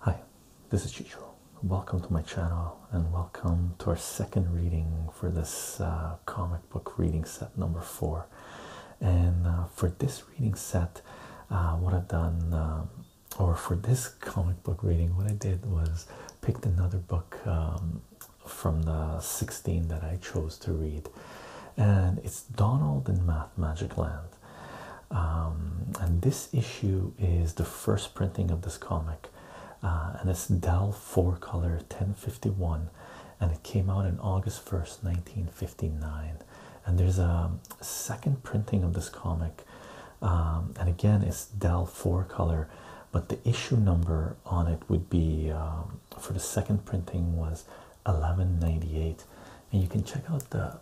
Hi, this is Chicho. Welcome to my channel and welcome to our second reading for this uh, comic book reading set number four. And uh, for this reading set, uh, what I've done, um, or for this comic book reading, what I did was picked another book um, from the 16 that I chose to read, and it's Donald in Math Magic Land um, and this issue is the first printing of this comic, uh, and it's Dell 4 color 1051, and it came out in August 1st, 1959. And there's a second printing of this comic, um, and again, it's Dell 4 color, but the issue number on it would be um, for the second printing was 1198, and you can check out the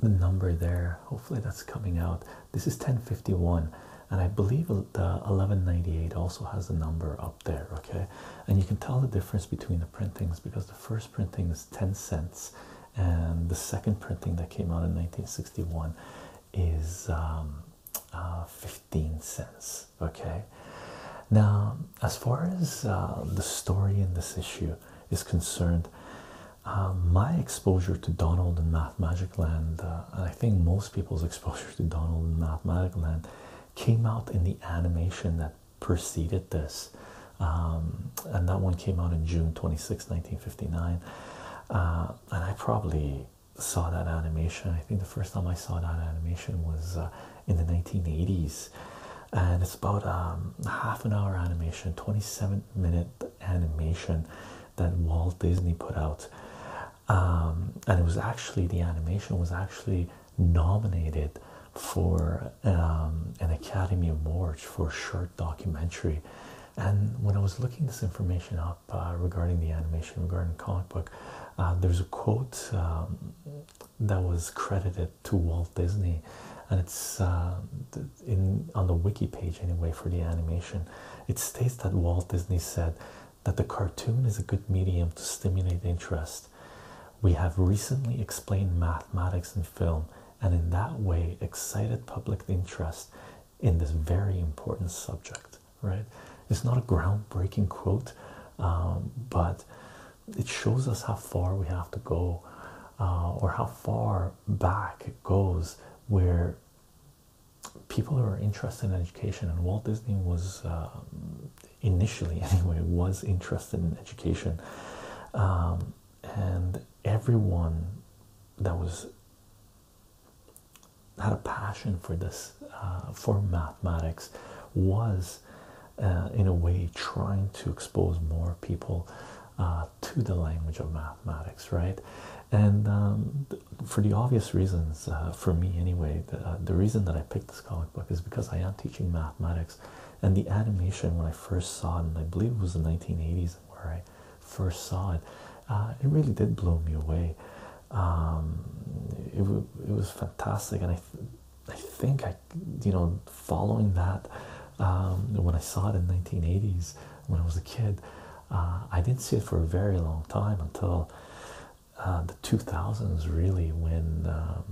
the number there. Hopefully that's coming out. This is 1051, and I believe the 1198 also has a number up there. Okay, and you can tell the difference between the printings because the first printing is 10 cents, and the second printing that came out in 1961 is um, uh, 15 cents. Okay, now as far as uh, the story in this issue is concerned, uh, my exposure to Donald and Math Magic Land, uh, and I think most people's exposure to Donald and Math Magic Land, came out in the animation that preceded this. Um, and that one came out in June 26, 1959. and I probably saw that animation. I think the first time I saw that animation was in the 1980s and it's about a um, half an hour animation 27 minute animation that Walt Disney put out um, and it was actually the animation was actually nominated for um, an Academy Award for short documentary and when I was looking this information up uh, regarding the animation regarding comic book uh, there's a quote that was credited to Walt Disney, and it's uh, in on the wiki page anyway for the animation. It states that Walt Disney said that the cartoon is a good medium to stimulate interest. We have recently explained mathematics in film, and in that way, excited public interest in this very important subject. Right? It's not a groundbreaking quote, um, but it shows us how far we have to go uh, or how far back it goes where people who are interested in education and Walt Disney was um, initially anyway was interested in education um, and everyone that was had a passion for this uh, for mathematics was uh, in a way trying to expose more people uh, to the language of mathematics, right? And um, for the obvious reasons, uh, for me anyway, the, reason that I picked this comic book is because I am teaching mathematics, and the animation when I first saw it, and I believe it was the 1980s where I first saw it, it really did blow me away. Um, it, was fantastic, and I, I think I you know, following that um, when I saw it in 1980s when I was a kid, uh, I didn't see it for a very long time until uh, the 2000s, really, when um,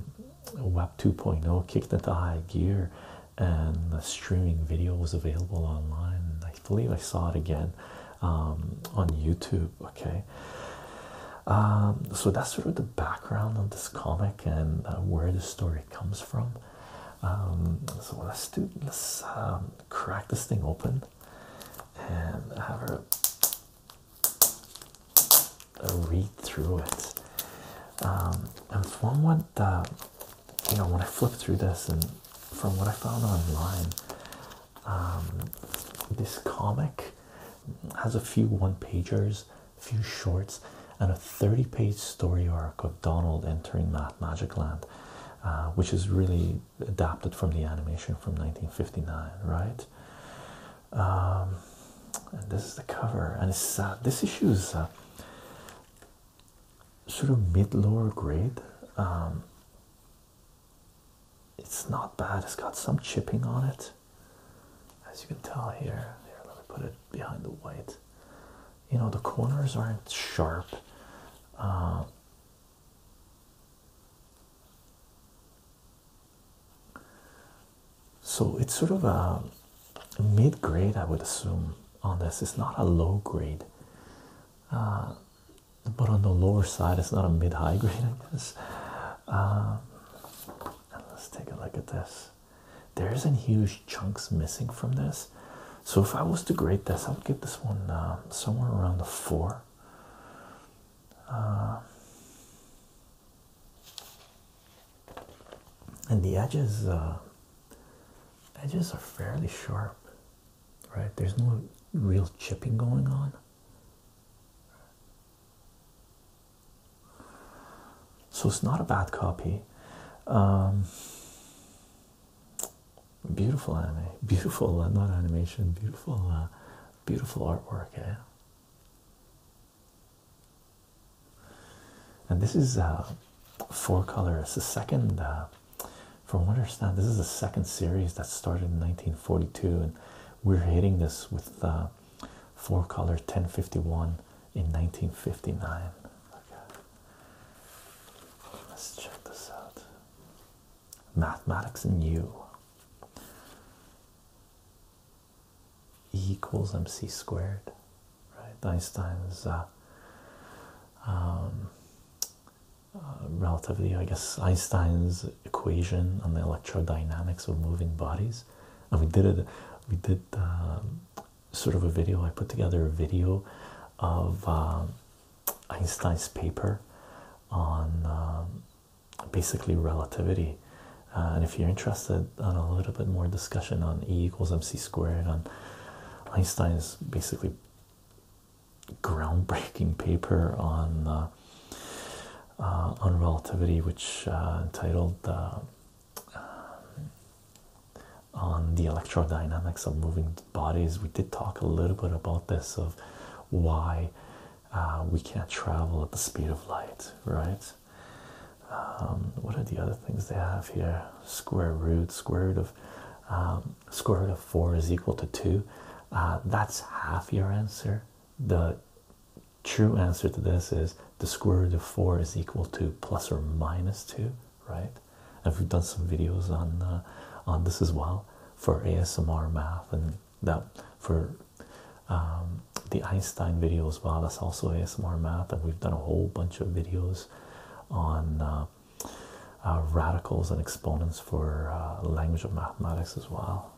Web 2.0 kicked into high gear and the streaming video was available online. I believe I saw it again um, on YouTube. Okay. so that's sort of the background of this comic and uh, where the story comes from. Um, so when us do let's um, crack this thing open and have a, a read through it. Um, and from what uh, you know, when I flip through this, and from what I found online, this comic has a few one-pagers few shorts, and a 30 page story arc of Donald entering Mad Magic Land, uh, which is really adapted from the animation from 1959, right? Um, and this is the cover, and uh, this issue is uh, sort of mid lower grade. Um, it's not bad, it's got some chipping on it as you can tell here. let me put it behind the white. You know, the corners aren't sharp. Um, so it's sort of a mid grade, I would assume, on this. It's not a low grade, uh, but on the lower side, it's not a mid high grade, I guess. Um, let's take a look at this. There's an huge chunks missing from this. So if I was to grade this, I would get this one um, somewhere around a four. Uh, and the edges, uh, edges are fairly sharp, right? There's no real chipping going on. So it's not a bad copy. Um, beautiful anime, beautiful uh, not animation, beautiful, uh, beautiful artwork. Yeah. And this is uh, four color. It's the second, uh, from what I understand, this is the second series that started in 1942, and we're hitting this with four color 1051 in 1959. Okay. Let's check this out. Mathematics in U E equals MC squared, right? Einstein's uh, um, uh I guess, Einstein's equation on the electrodynamics of moving bodies. And we did it, we did um, sort of a video. I put together a video of um, Einstein's paper on um, basically relativity. Uh, and if you're interested in a little bit more discussion on E equals MC squared, on Einstein's basically groundbreaking paper on uh, uh, on relativity, which entitled um, on the electrodynamics of moving bodies, we did talk a little bit about this of why uh, we can't travel at the speed of light, right? Um, what are the other things they have here? Square root, square root of um, square root of four is equal to two. Uh, that's half your answer. The true answer to this is the square root of 4 is equal to plus or minus 2, right? And we've done some videos on uh, on this as well for ASMR math and that for um, the Einstein video as well. That's also ASMR math, and we've done a whole bunch of videos on uh, uh, radicals and exponents for language of mathematics as well.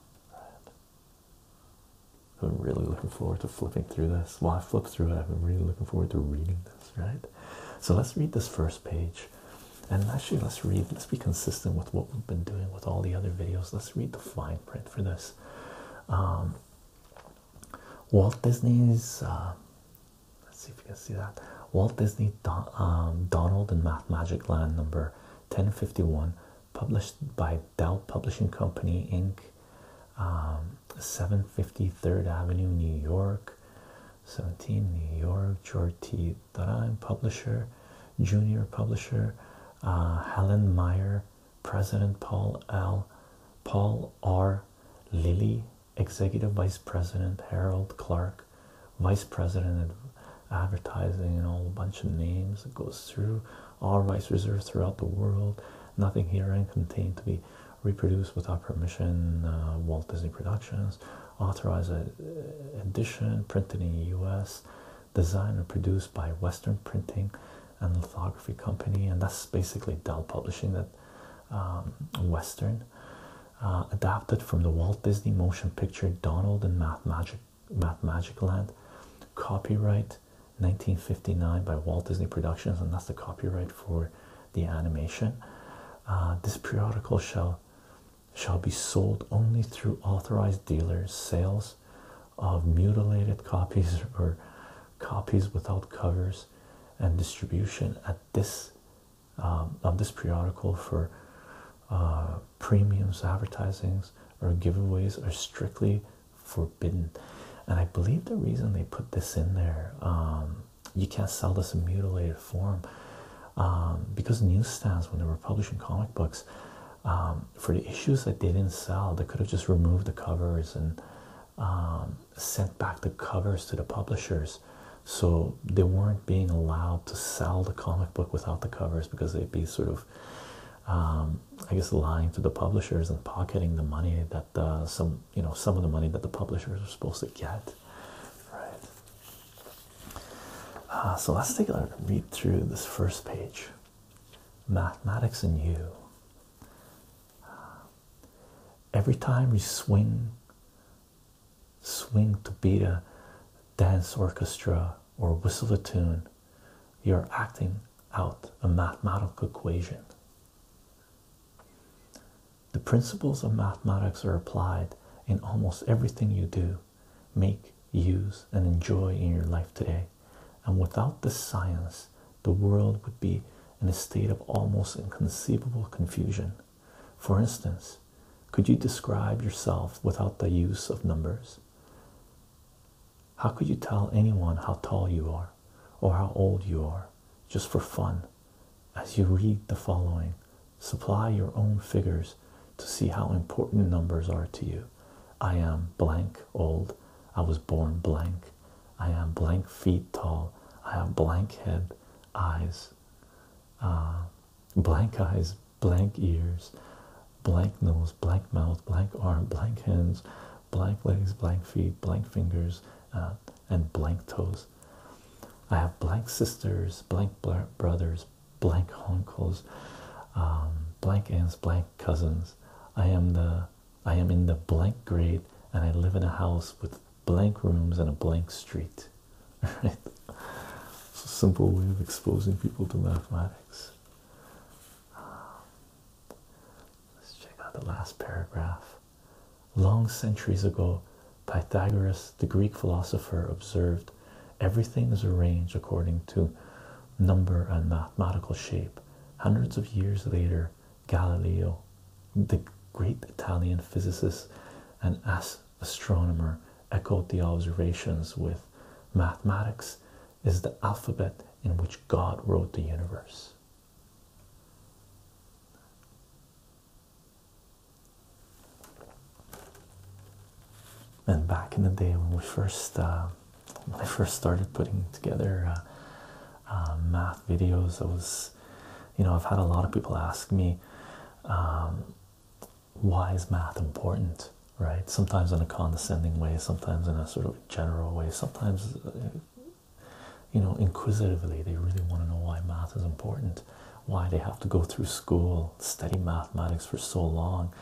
I'm really looking forward to flipping through this. While I flip through it, i have been really looking forward to reading this, right? So let's read this first page. And actually, let's read, let's be consistent with what we've been doing with all the other videos. Let's read the fine print for this. Um, Walt Disney's, uh, let's see if you can see that. Walt Disney um, Donald and Math Magic Land number 1051, published by Dell Publishing Company Inc. 753rd um, Avenue, New York, 17 New York, George T. Daran, publisher, junior publisher, uh, Helen Meyer, president, Paul L. Paul R. Lilly, executive vice president, Harold Clark, vice president advertising and all a bunch of names it goes through all rights reserves throughout the world Nothing herein contained to be reproduced without permission. Uh, Walt Disney Productions, authorized uh, edition, printed in the U.S., designed and produced by Western Printing and Lithography Company, and that's basically Dell Publishing that um, Western. Uh, adapted from the Walt Disney motion picture Donald and Math Magic Math Magic Land. Copyright 1959 by Walt Disney Productions, and that's the copyright for the animation. Uh, this periodical shall shall be sold only through authorized dealers. Sales of mutilated copies or copies without covers and distribution at this um, of this periodical for uh, premiums, advertisings, or giveaways are strictly forbidden. And I believe the reason they put this in there, um, you can't sell this mutilated form, um, because newsstands, when they were publishing comic books, um, for the issues that they didn't sell, they could have just removed the covers and sent back the covers to the publishers. So they weren't being allowed to sell the comic book without the covers because they'd be sort of, I guess, lying to the publishers and pocketing the money that uh, some you know some of the money that the publishers are supposed to get, right? Uh, so let's take a read through this first page. Mathematics and you. Uh, every time you swing, swing to beat a dance orchestra or whistle a tune, you're acting out a mathematical equation the principles of mathematics are applied in almost everything you do, make, use, and enjoy in your life today. And without this science, the world would be in a state of almost inconceivable confusion. For instance, could you describe yourself without the use of numbers? How could you tell anyone how tall you are or how old you are just for fun? As you read the following, supply your own figures to see how important numbers are to you. I am blank old. I was born blank. I am blank feet tall. I have blank head, eyes, uh, blank eyes, blank ears, blank nose, blank mouth, blank arm, blank hands, blank legs, blank feet, blank fingers, uh, and blank toes. I have blank sisters, blank brothers, blank uncles, um, blank aunts, blank cousins. I am the I am in the blank grade, and I live in a house with blank rooms and a blank street. Right? It's a simple way of exposing people to mathematics. Let's check out the last paragraph. Long centuries ago, Pythagoras, the Greek philosopher, observed everything is arranged according to number and mathematical shape. Hundreds of years later, Galileo, the great Italian physicist and astronomer, echoed the observations with mathematics is the alphabet in which God wrote the universe. And back in the day when we first uh, when I first started putting together uh, uh, math videos, I was, you know, I've had a lot of people ask me, um, why is math important, right? Sometimes in a condescending way, sometimes in a sort of general way, sometimes you know, inquisitively. They really want to know why math is important, why they have to go through school, study mathematics for so long.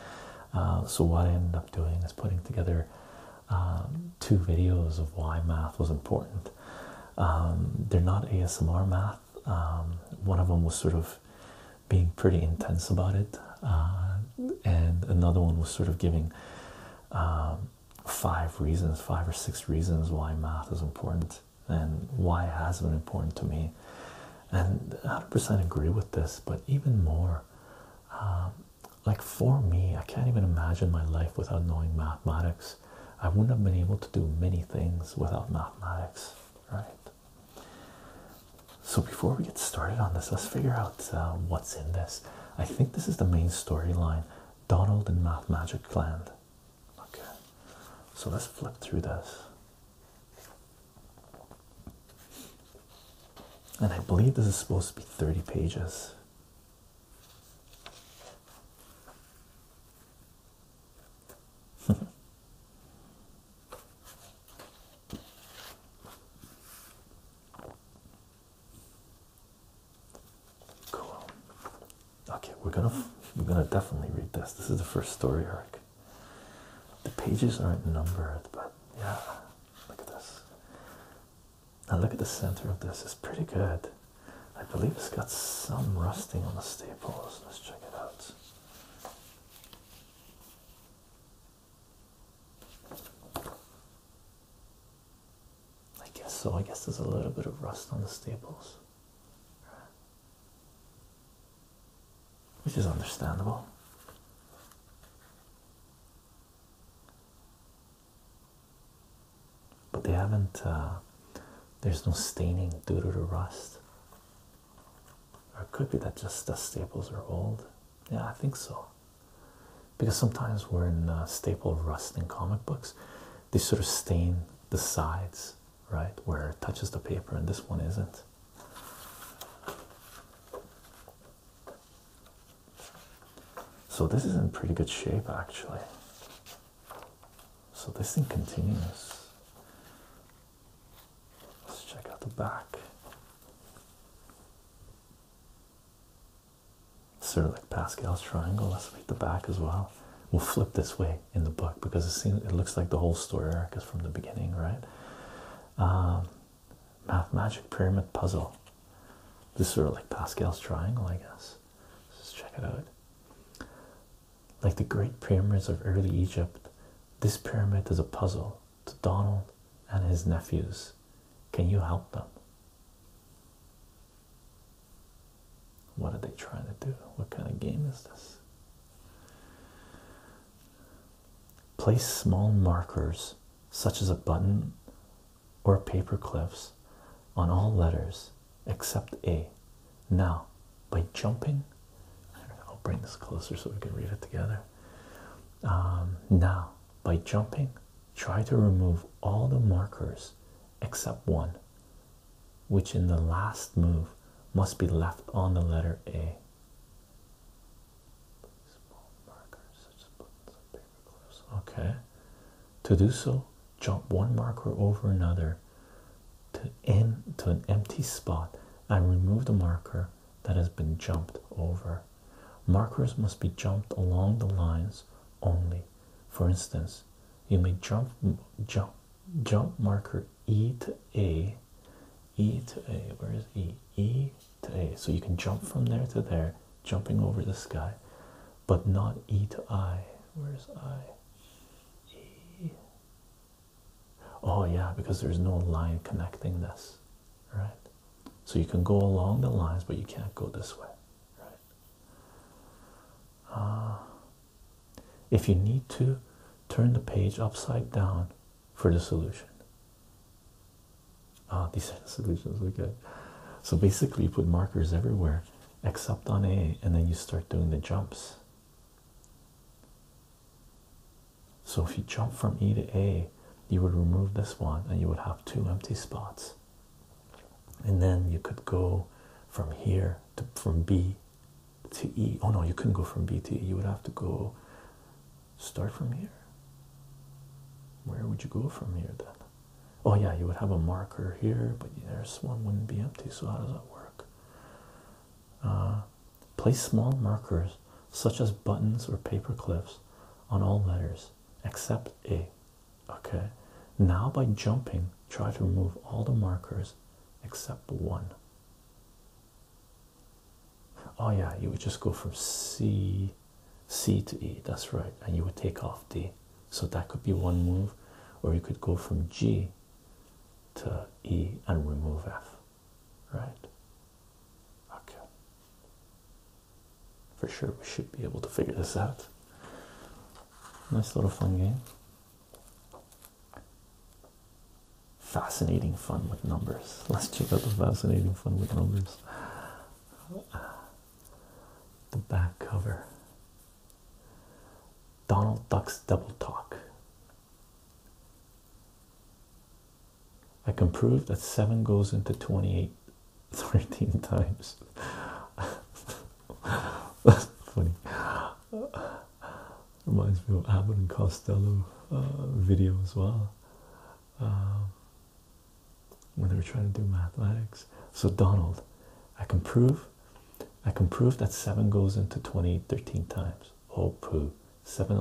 Uh, so what I end up doing is putting together um, two videos of why math was important. Um, they're not ASMR math. Um, one of them was sort of being pretty intense about it, uh, and another one was sort of giving five reasons, five or six reasons why math is important and why it has been important to me. And 100% agree with this, but even more, um, like for me, I can't even imagine my life without knowing mathematics. I wouldn't have been able to do many things without mathematics, right? So, before we get started on this, let's figure out uh, what's in this. I think this is the main storyline Donald and Math Magic Clan. Okay, so let's flip through this. And I believe this is supposed to be 30 pages. Cool. Okay, we're gonna we're gonna definitely read this. This is the first story arc. The pages aren't numbered, but yeah, look at this. Now look at the center of this. It's pretty good. I believe it's got some rusting on the staples. Let's check it out. I guess so. I guess there's a little bit of rust on the staples, which is understandable. But they haven't, uh, there's no staining due to the rust. Or it could be that just the staples are old. Yeah, I think so because sometimes we're in staple of rust in comic books they sort of stain the sides right where it touches the paper and this one isn't so this is in pretty good shape actually so this thing continues let's check out the back Sort of like Pascal's triangle. Let's read the back as well. We'll flip this way in the book because it seems it looks like the whole story arc is from the beginning, right? Um, math magic pyramid puzzle. This is sort of like Pascal's triangle, I guess. Let's check it out. Like the great pyramids of early Egypt, this pyramid is a puzzle to Donald and his nephews. Can you help them? What are they trying to do? What kind of game is this? Place small markers, such as a button or paper clips, on all letters except A. Now, by jumping, I'll bring this closer so we can read it together. Um, now, by jumping Try to remove all the markers except one, which in the last move must be left on the letter A. Okay. To do so, jump one marker over another to in to an empty spot and remove the marker that has been jumped over. Markers must be jumped along the lines only. For instance, you may jump jump jump marker E to A, E to A. Where is E? E to A. So you can jump from there to there, jumping over the sky, but not E to I. Where's I? E. Oh yeah, because there's no line connecting this, right? So you can go along the lines, but you can't go this way. Ah. if you need to, turn the page upside down for the solution. Ah, these are the solutions. Okay, so basically, you put markers everywhere except on A, and then you start doing the jumps. So if you jump from E to A, you would remove this one and you would have two empty spots and then you could go from here to from B to E. Oh no, you couldn't go from B to E. You would have to go start from here. Where would you go from here then? Oh yeah, you would have a marker here, but there's one wouldn't be empty. So how does that work? Uh, place small markers such as buttons or paper clips on all letters except A. Okay, now by jumping, try to remove all the markers except one. Oh yeah, you would just go from C C to E, that's right, and you would take off D. So that could be one move, or you could go from G to E and remove F. Right? Okay for sure we should be able to figure this out. Nice little fun game. Fascinating fun with numbers. Let's check out the fascinating fun with numbers. The back cover. Donald Duck's Double Talk. I can prove that 7 goes into 28 13 times. That's funny. Reminds me of Abbott and Costello uh, video as well. Um, when they were trying to do mathematics. So Donald, I can prove, I can prove that seven goes into 20 13 times. Oh poo! seven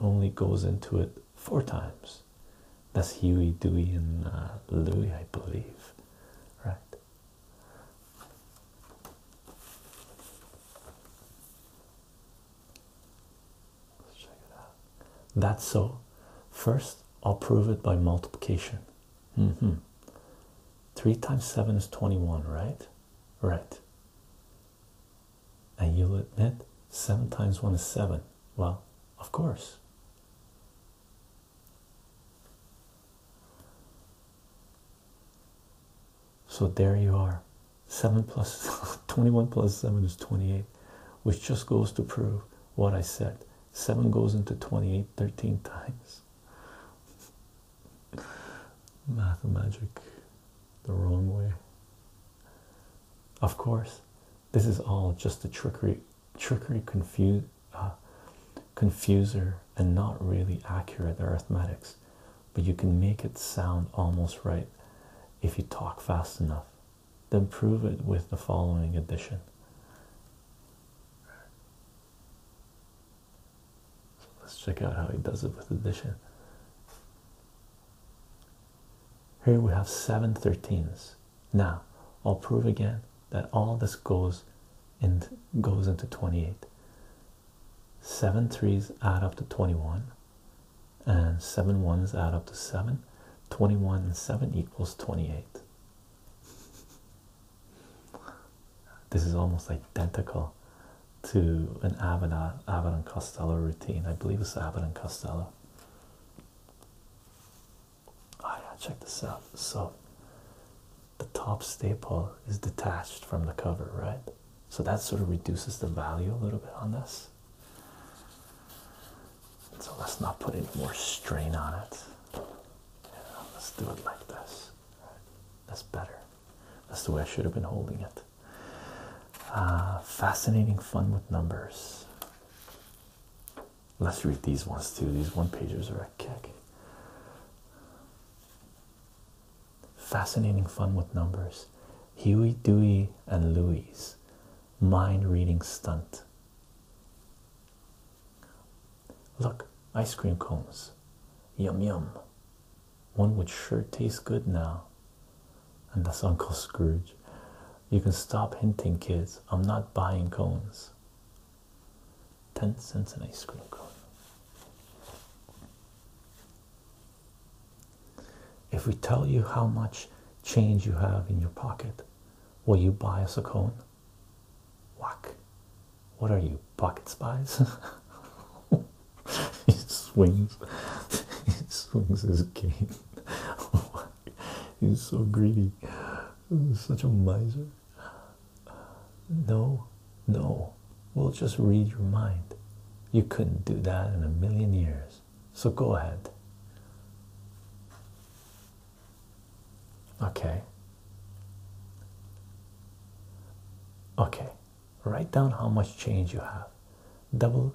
only goes into it four times. That's Huey, Dewey, and uh, Louie, I believe, right? Let's check it out. That's so. First, I'll prove it by multiplication. Mm-hmm. 3 times 7 is 21, right? Right. And you'll admit 7 times 1 is 7. Well, of course. So there you are. 7 plus 21 plus 7 is 28, which just goes to prove what I said. 7 goes into 28 13 times. Math magic the wrong way. Of course, this is all just a trickery, trickery, uh, confuser, and not really accurate arithmetics. But you can make it sound almost right if you talk fast enough. Then prove it with the following addition. let's check out how he does it with addition. Here we have seven thirteens. Now I'll prove again that all this goes and goes into 28. Seven threes add up to 21 and seven ones add up to seven. 21 and 7 equals 28. This is almost identical to an Abbott, Abbott Costello routine. I believe it's Abbott Costello. Oh yeah, check this out. So the top staple is detached from the cover, right? So that sort of reduces the value a little bit on this. So let's not put any more strain on it. let's do it like this. That's better. That's the way I should have been holding it. Uh, fascinating fun with numbers. Let's read these ones too. These one pagers are a kick. Fascinating fun with numbers. Huey, Dewey, and Louise. Mind reading stunt. Look, ice cream cones. Yum yum. One would sure taste good now. And that's Uncle Scrooge. You can stop hinting, kids. I'm not buying cones. 10 cents an ice cream cone. If we tell you how much change you have in your pocket, will you buy us a cone? Whack. What are you, pocket spies? he swings. he swings his cane. He's so greedy. He's such a miser. No, no. We'll just read your mind. You couldn't do that in a million years. So go ahead. Okay. Okay. Write down how much change you have. Double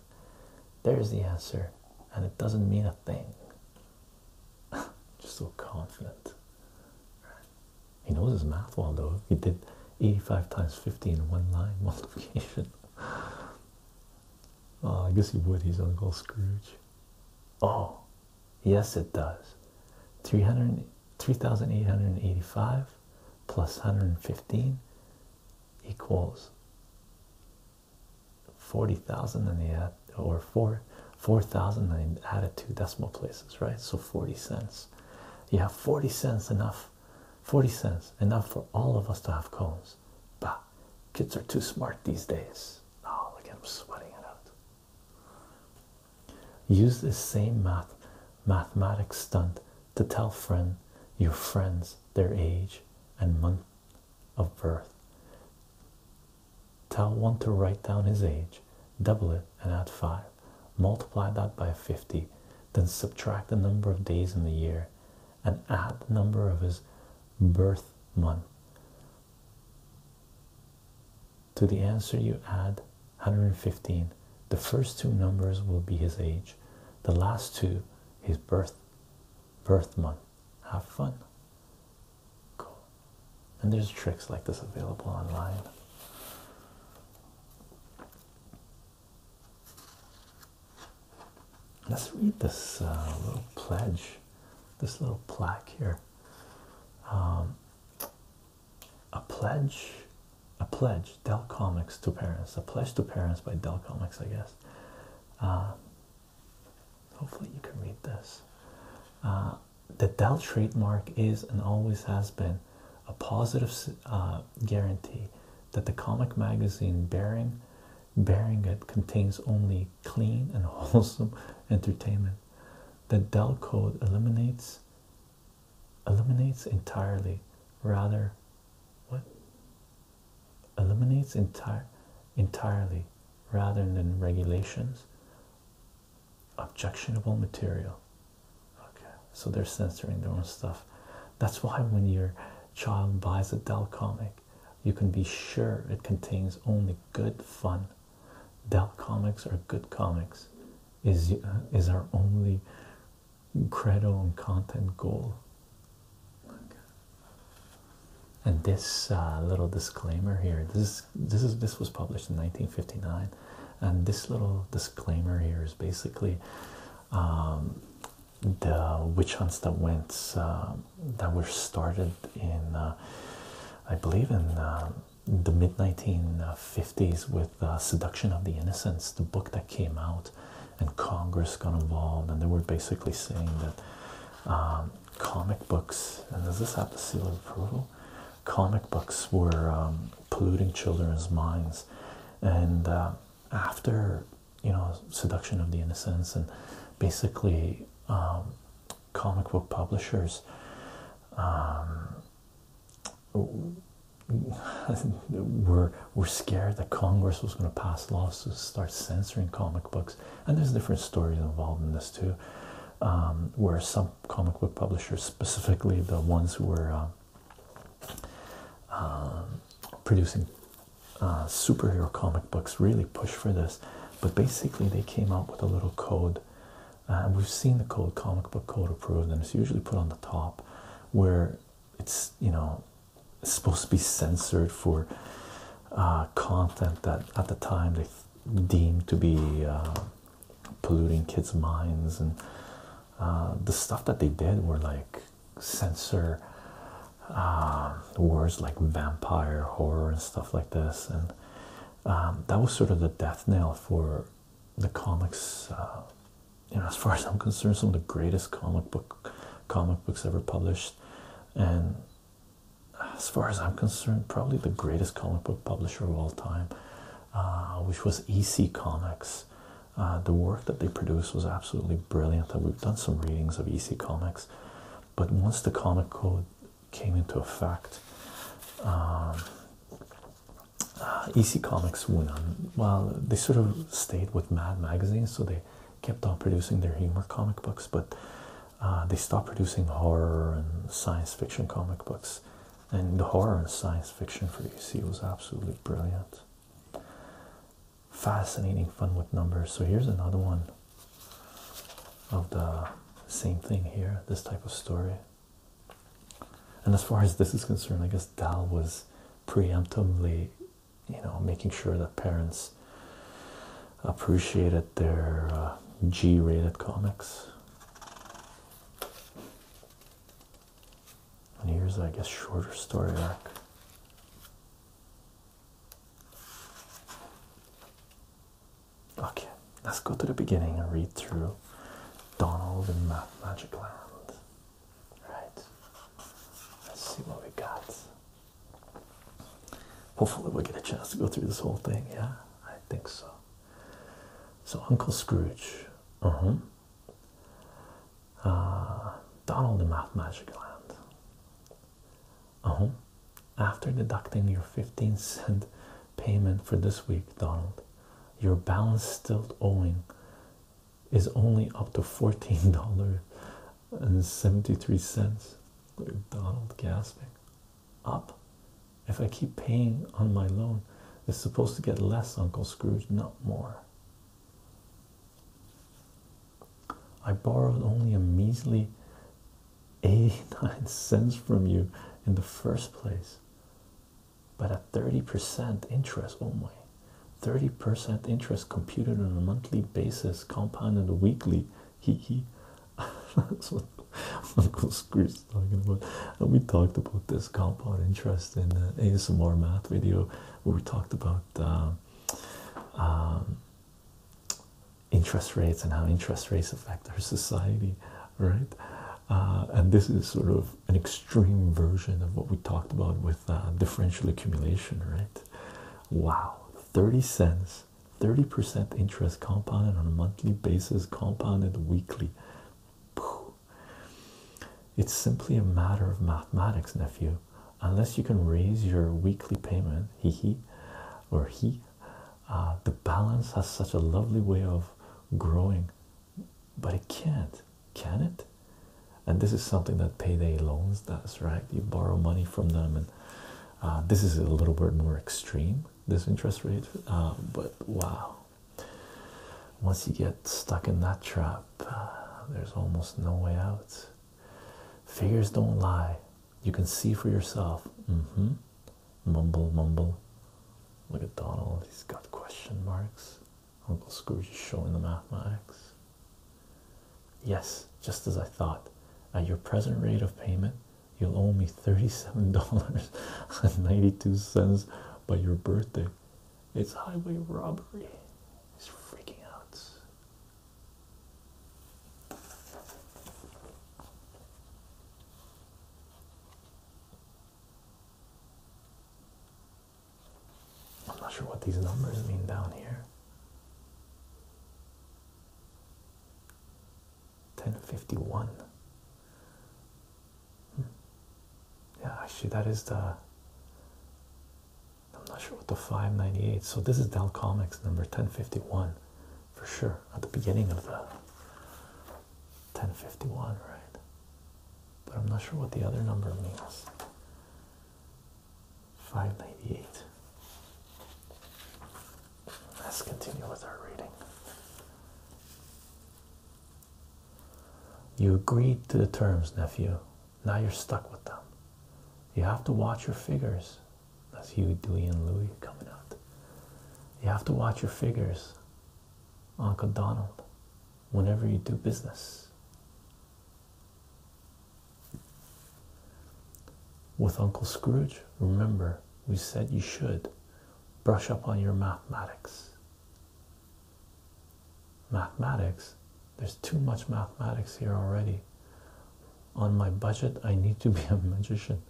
There's the answer, and it doesn't mean a thing. Just so confident. He knows his math well, though. He did 85 times 50 in one line multiplication. well, oh, I guess he would. He's Uncle Scrooge. Oh, yes, it does. 3,885 plus 115 equals 40,000 and they add or 4 4,000 and they added two decimal places right so 40 cents you have 40 cents enough 40 cents enough for all of us to have cones but kids are too smart these days oh look at them sweating it out use this same math mathematics stunt to tell friend your friends their age and month of birth. Tell one to write down his age, double it, and add 5. Multiply that by 50, then subtract the number of days in the year and add the number of his birth month. To the answer, you add 115. The first two numbers will be his age, the last two, his birth birth month. Have fun. Cool. And there's tricks like this available online. Let's read this uh, little pledge, this little plaque here. Um, a pledge, a pledge, Dell Comics to parents, a pledge to parents by Dell Comics, I guess. Uh, Hopefully, you can read this. Uh, the Dell trademark is and always has been a positive uh, guarantee that the comic magazine bearing bearing it contains only clean and wholesome entertainment. The Dell code eliminates eliminates entirely rather what eliminates entire entirely rather than regulations objectionable material okay so they're censoring their own stuff that's why when your child buys a dell comic you can be sure it contains only good fun dell comics are good comics is is our only credo and content goal and this uh, little disclaimer here. This this is this was published in 1959, and this little disclaimer here is basically um, the witch hunts that went uh, that were started in, uh, I believe, in the mid 1950s with uh, "Seduction of the Innocents," the book that came out and Congress got involved, and they were basically saying that um, comic books and does this have the seal of approval? Comic books were um, polluting children's minds, and uh, after you know, Seduction of the Innocents, and basically um, comic book publishers. Um, were were scared that Congress was going to pass laws to start censoring comic books and there's different stories involved in this too, um, where some comic book publishers, specifically the ones who were um, um, producing uh, superhero comic books, really push for this. But basically, they came out with a little code, uh, and we've seen the code, comic book code approved, and it's usually put on the top, where it's you know supposed to be censored for uh, content that at the time they deemed to be uh, polluting kids' minds, and uh, the stuff that they did were like censor words like vampire, horror, and stuff like this, and um, that was sort of the death knell for the comics. as far as I'm concerned, some of the greatest comic book comic books ever published and as far as I'm concerned, probably the greatest comic book publisher of all time, uh, which was EC Comics. Uh, the work that they produced was absolutely brilliant, and we've done some readings of EC Comics. But once the comic code came into effect, um, uh, EC Comics went on. Well, they sort of stayed with Mad Magazine, so they kept on producing their humor comic books, but uh, they stopped producing horror and science fiction comic books. And the horror and science fiction for EC was absolutely brilliant. Fascinating fun with numbers. So here's another one of the same thing here, this type of story. And as far as this is concerned, I guess Dal was preemptively you know, making sure that parents appreciated their uh, G-rated comics. And here's, I guess, shorter story arc. Okay, let's go to the beginning and read through Donald in Math Magic Land. Right, let's see what we got. Hopefully, we'll get a chance to go through this whole thing. Yeah, I think so. So, Uncle Scrooge, mm-hmm. uh huh, Donald the Math Magic Land, uh mm-hmm. huh. After deducting your 15 cent payment for this week, Donald, your balance still owing is only up to $14 and 73 cents. Donald gasping. Up? If I keep paying on my loan, it's supposed to get less, Uncle Scrooge, not more. I borrowed only a measly 89 cents from you in the first place. But at 30% interest, oh my, 30% interest computed on a monthly basis Compound in the weekly. He he. That's what Uncle Scrooge's talking about. And we talked about this compound interest in the ASMR math video where we talked about uh, um, interest rates and how interest rates affect our society, right? Uh, and this is sort of an extreme version of what we talked about with uh, differential accumulation, right? Wow, 30 cents, 30% interest compounded on a monthly basis, compounded weekly. It's simply a matter of mathematics, nephew. Unless you can raise your weekly payment, he he or he, uh, the balance has such a lovely way of growing, but it can't, can it? And this is something that payday loans does, right? You borrow money from them and. Uh, this is a little bit more extreme this interest rate uh, but wow once you get stuck in that trap uh, there's almost no way out figures don't lie you can see for yourself mm-hmm. mumble mumble look at donald he's got question marks uncle scrooge is showing the mathematics Yes, just as I thought. At your present rate of payment, you'll owe me $37.92 by your birthday. It's highway robbery. He's freaking out. I'm not sure what these numbers mean down here. 1051 hmm. yeah actually that is the i'm not sure what the 598 so this is dell comics number 1051 for sure at the beginning of the 1051 right but i'm not sure what the other number means 598. Let's continue with our reading. You agreed to the terms, nephew. Now you're stuck with them. You have to watch your figures. That's you, Dewey, and Louie coming out. You have to watch your figures, Uncle Donald, whenever you do business. With Uncle Scrooge, remember we said you should brush up on your mathematics. Mathematics, there's too much mathematics here already. On my budget, I need to be a magician.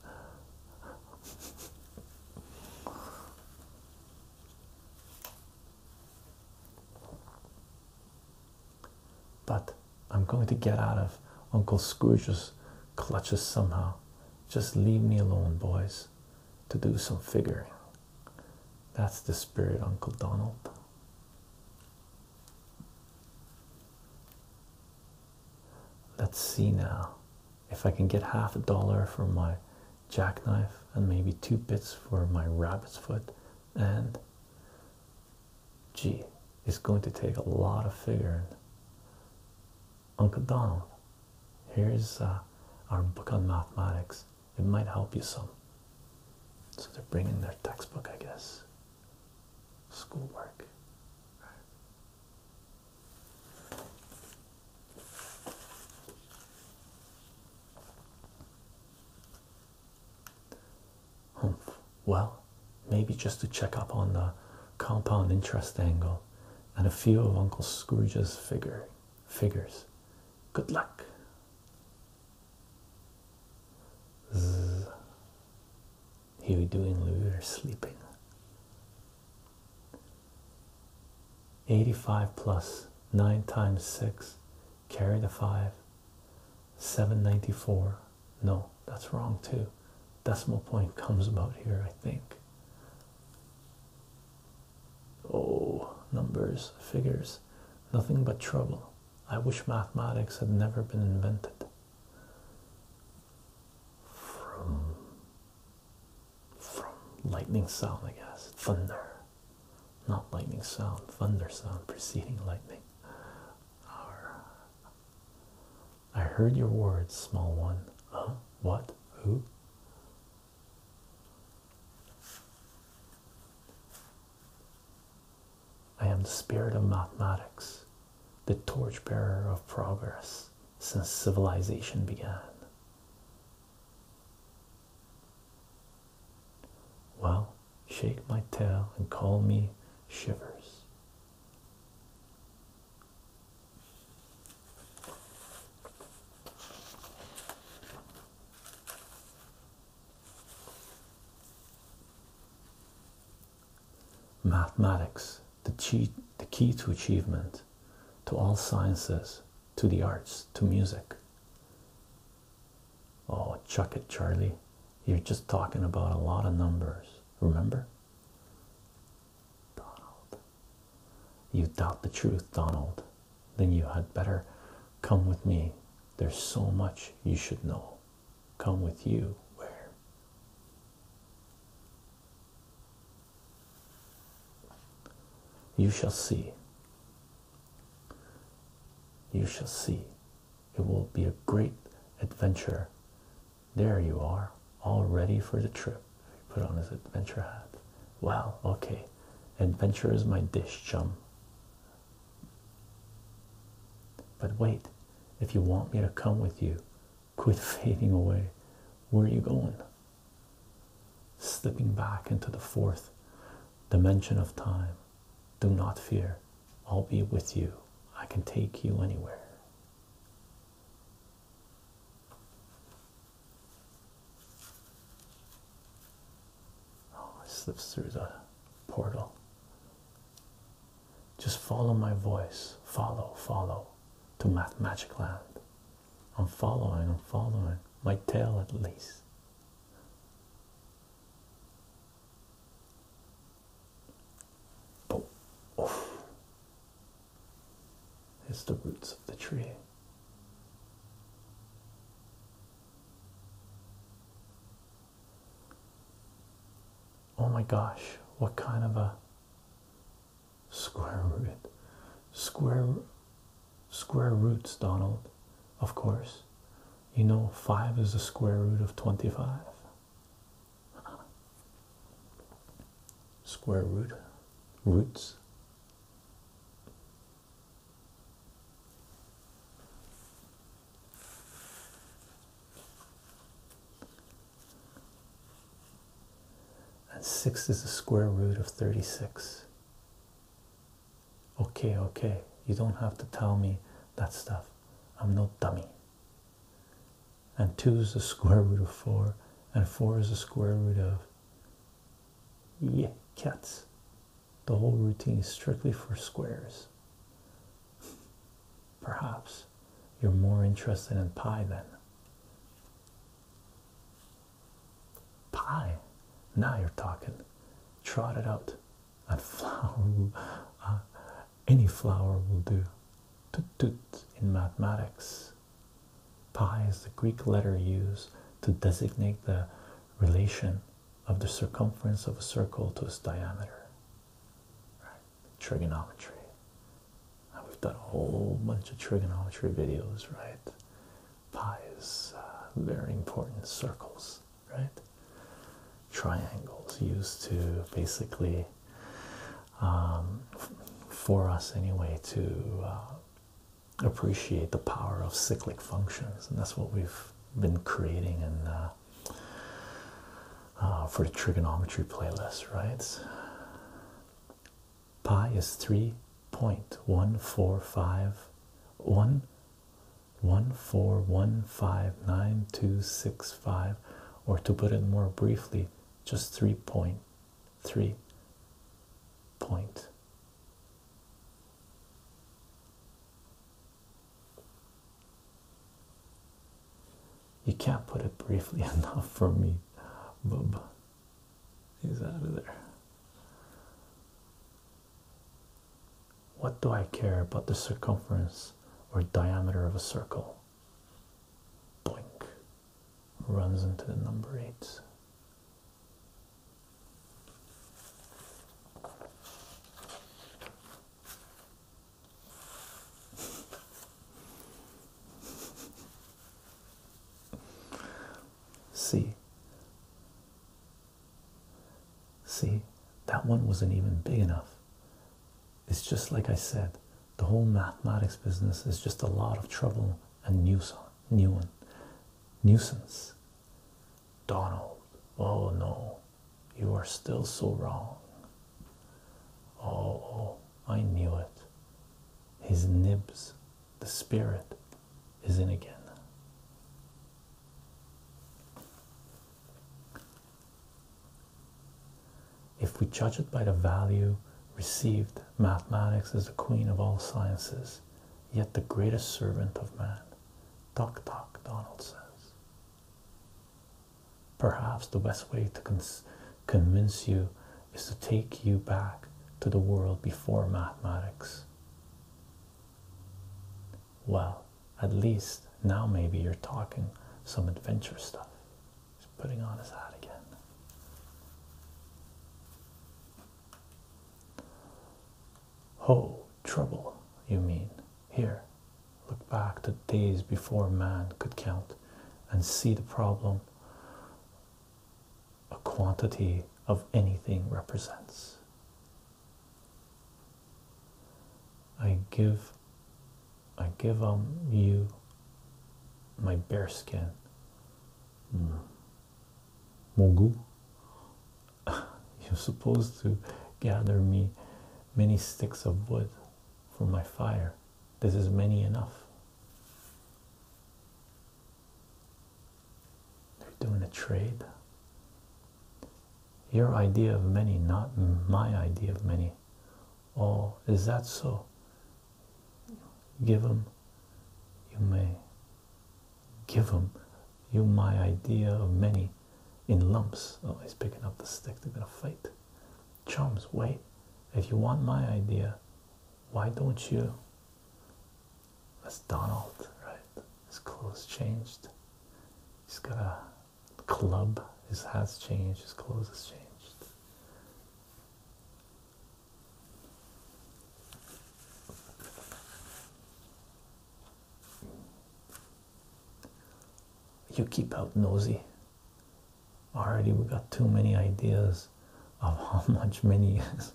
But I'm going to get out of Uncle Scrooge's clutches somehow. Just leave me alone, boys, to do some figuring. That's the spirit, Uncle Donald. Let's see now if I can get half a dollar for my jackknife and maybe two bits for my rabbit's foot and Gee, it's going to take a lot of figuring. Uncle Donald, here's uh, our book on mathematics. It might help you some. So they're bringing their textbook, I guess. Schoolwork. Well, maybe just to check up on the compound interest angle and a few of Uncle Scrooge's figure figures. Good luck. Here we do in lieu or sleeping. 85 plus 9 times 6, carry the 5, 794 no that's wrong too decimal point comes about here i think oh numbers figures nothing but trouble i wish mathematics had never been invented from from lightning sound i guess thunder not lightning sound thunder sound preceding lightning I heard your words, small one. Huh? What? Who? I am the spirit of mathematics, the torchbearer of progress since civilization began. Well, shake my tail and call me shivers mathematics the key, to achievement to all sciences to the arts to music Oh, chuck it, Charlie. You're just talking about a lot of numbers. Remember? Donald. You doubt the truth, Donald. Then you had better come with me. There's so much you should know. Come with you. Where? You shall see. You shall see. It will be a great adventure. There you are, all ready for the trip. He put on his adventure hat. Wow, okay. Adventure is my dish, chum. But wait, if you want me to come with you, quit fading away. Where are you going? Slipping back into the fourth dimension of time. Do not fear. I'll be with you. I can take you anywhere. Oh, it slips through the portal. Just follow my voice. Follow, follow to Math Magic Land. I'm following, I'm following. My tail at least. But oof, it's the roots of the tree. Oh my gosh, what kind of a square root? Square square roots, Donald, of course you know 5 is the square root of 25 square root roots and 6 is the square root of 36 okay okay you don't have to tell me that stuff I'm no dummy. And 2 is the square root of 4, and 4 is the square root of. Yeah, cats. The whole routine is strictly for squares. Perhaps you're more interested in pi then. Pi. Now you're talking. Trot it out. Uh, any flower will do tut tut in mathematics pi is the greek letter used to designate the relation of the circumference of a circle to its diameter right. trigonometry we've done a whole bunch of trigonometry videos right pi is uh, very important circles right? Triangles used to basically, um, for us anyway, to uh, appreciate the power of cyclic functions, and that's what we've been creating and uh, uh, for the trigonometry playlist, right? Pi is three point one four five one one four one five nine two six five or to put it more briefly just three point three point you can't put it briefly enough for me bub he's out of there what do I care about the circumference or diameter of a circle? Blink runs into the number eight. See, see, that one wasn't even big enough it's just like I said, the whole mathematics business is just a lot of trouble and nuisance. Donald, oh no, you are still so wrong. Oh, I knew it. His nibs, the spirit, is in again. If we judge it by the value received, mathematics is the queen of all sciences, yet the greatest servant of man. Talk, talk, Donald says. Perhaps the best way to convince you is to take you back to the world before mathematics well, at least now maybe you're talking some adventure stuff. He's putting on his hat again. Oh, trouble, you mean. Here, look back to days before man could count and see the problem a quantity of anything represents. I give I give um you my bare skin. Mm. Mongu You're supposed to gather me many sticks of wood for my fire. This is many enough. They're doing a trade. Your idea of many, not my idea of many. Oh, is that so? Give him, you may. Give him, you my idea of many in lumps. Oh, he's picking up the stick. They're going to fight. Chums, wait. If you want my idea, why don't you? That's Donald, right? His clothes changed. He's got a club his has changed his clothes has changed you keep out nosy already we got too many ideas of how much money. is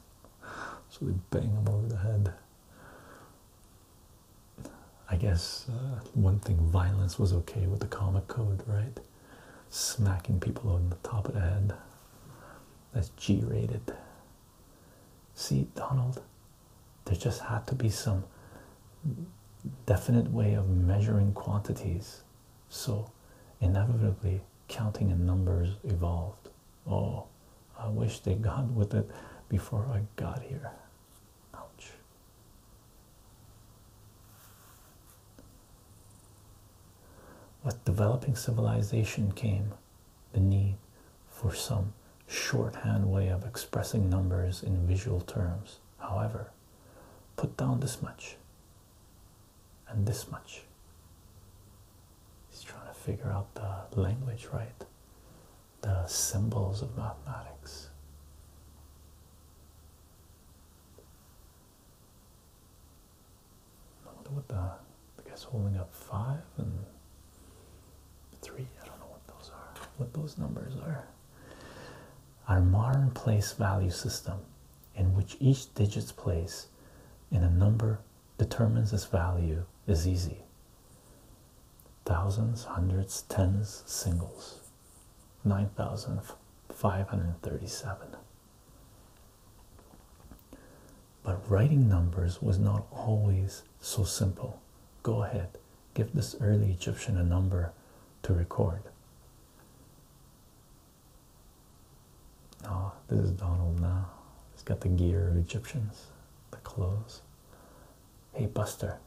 so we bang him over the head I guess uh, one thing violence was okay with the comic code, right? Smacking people on the top of the head. That's G rated. See, Donald, there just had to be some definite way of measuring quantities. So, inevitably, counting and numbers evolved. Oh, I wish they got with it before I got here. With developing civilization came the need for some shorthand way of expressing numbers in visual terms. However, put down this much and this much. He's trying to figure out the language, right? the symbols of mathematics. I wonder what the, the guy's holding up five and three. I don't know what those are, what those numbers are. Our modern place value system, in which each digit's place in a number determines its value, is easy. Thousands, hundreds, tens, singles. 9,537. But writing numbers was not always so simple. Go ahead, give this early Egyptian a number to record. Oh, this is Donald now. He's got the gear of Egyptians, the clothes. Hey, Buster,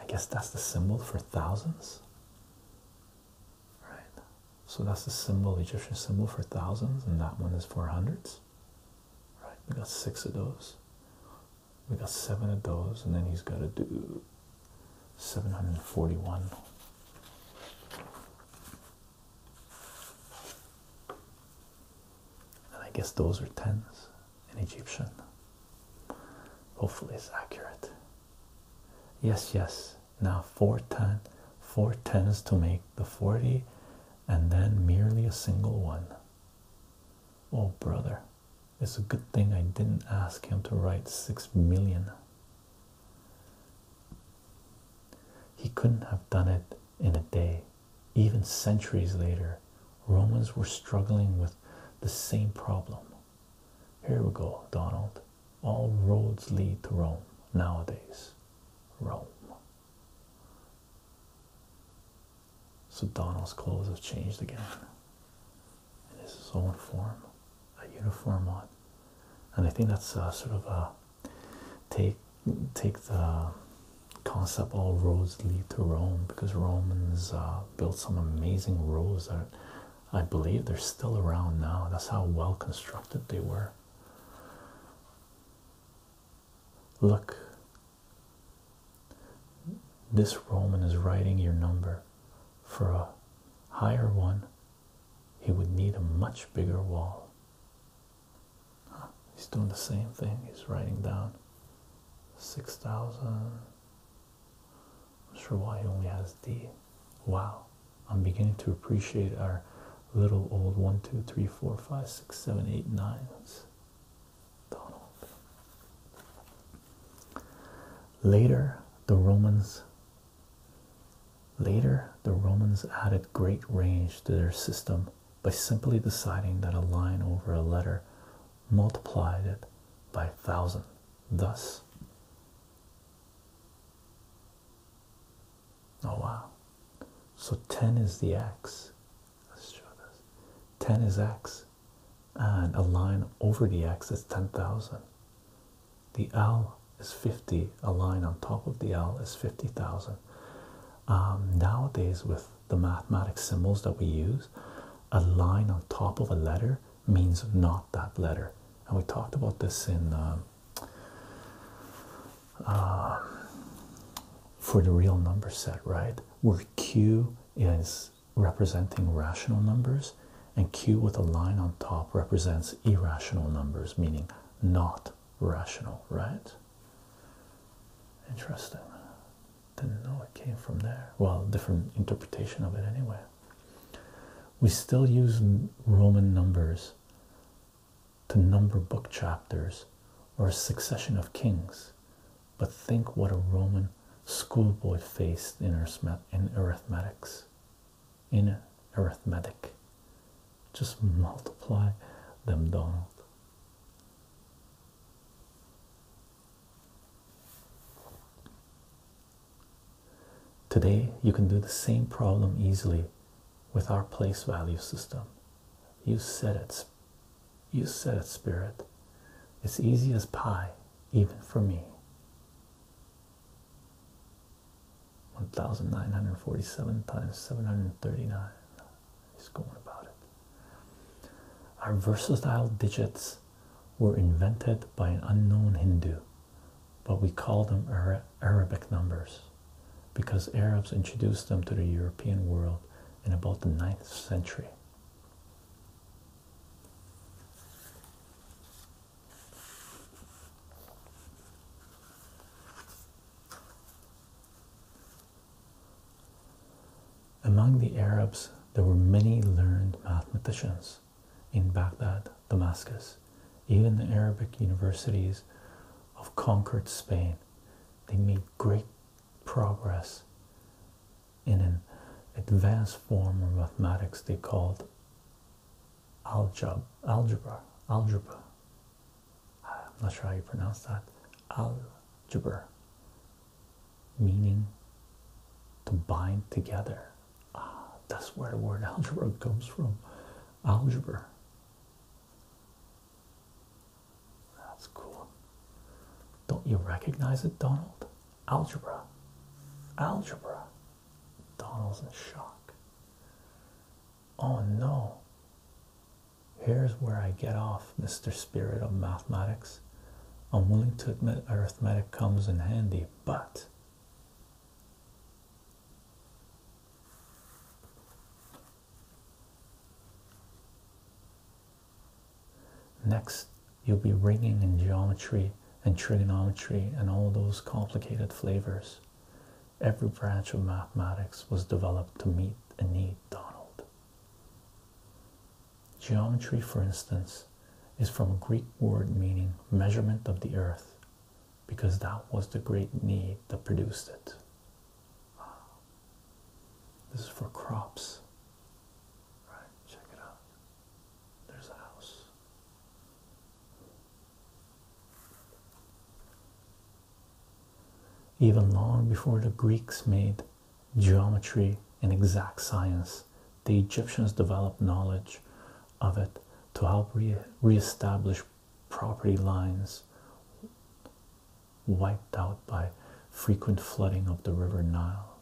I guess that's the symbol for thousands, right? So that's the symbol, Egyptian symbol for thousands, and that one is four hundreds, right? We got six of those, we got seven of those, and then he's got to do 741 and I guess those are tens in Egyptian. Hopefully, it's accurate. Yes, yes. Now, four tens, four tens to make the 40, and then merely a single one. Oh, brother, it's a good thing I didn't ask him to write six million. He couldn't have done it in a day even centuries later, Romans were struggling with the same problem. Here we go, Donald. All roads lead to Rome nowadays. Rome. So Donald's clothes have changed again. And this is own form, a uniform on. And I think that's uh, sort of a take take the concept all roads lead to Rome because Romans uh, built some amazing roads that I believe they're still around now. That's how well constructed they were. Look, this Roman is writing your number. For a higher one, he would need a much bigger wall. He's doing the same thing. He's writing down 6,000. I'm sure why he only has D. Wow. I'm beginning to appreciate our little old 1, 2, 3, 4, 5, 6, 7, 8, 9. Donald. Later, the Romans. Later, the Romans added great range to their system by simply deciding that a line over a letter multiplied it by a thousand. Thus, oh wow. So 10 is the x. Let's show this. 10 is x. And a line over the x is 10,000. The L is 50. A line on top of the L is 50,000. Um, nowadays, with the mathematical symbols that we use, a line on top of a letter means not that letter. And we talked about this in um, uh, for the real number set, right? Where Q is representing rational numbers, and Q with a line on top represents irrational numbers, meaning not rational, right? Interesting. Didn't know it came from there. Well, different interpretation of it anyway. We still use Roman numbers to number book chapters or a succession of kings, but think what a Roman schoolboy faced in, in In arithmetic. Just multiply them, Donald. Today, you can do the same problem easily with our place value system. You said it. You said it, Spirit. It's easy as pie, even for me. 1947 times 739. Our versatile digits were invented by an unknown Hindu, but we call them Arabic numbers because Arabs introduced them to the European world in about the 9th century. Among the Arabs, there were many learned mathematicians in Baghdad, Damascus, even the Arabic universities of conquered Spain. They made great progress in an advanced form of mathematics they called algebra. Algebra. algebra. I'm not sure how you pronounce that, algebra, meaning to bind together. Ah, that's where the word algebra comes from. Algebra. That's cool. Don't you recognize it, Donald? Algebra. Algebra. Donald's in shock. Oh no. Here's where I get off, Mr. Spirit of Mathematics. I'm willing to admit arithmetic comes in handy, but next you'll be ringing in geometry and trigonometry and all those complicated flavors. Every branch of mathematics was developed to meet a need, Donald. Geometry, for instance, is from a Greek word meaning measurement of the earth because that was the great need that produced it. This is for crops. Right, check it out. There's a house. Even long before the Greeks made geometry, and exact science. The Egyptians developed knowledge of it to help re reestablish property lines wiped out by frequent flooding of the River Nile.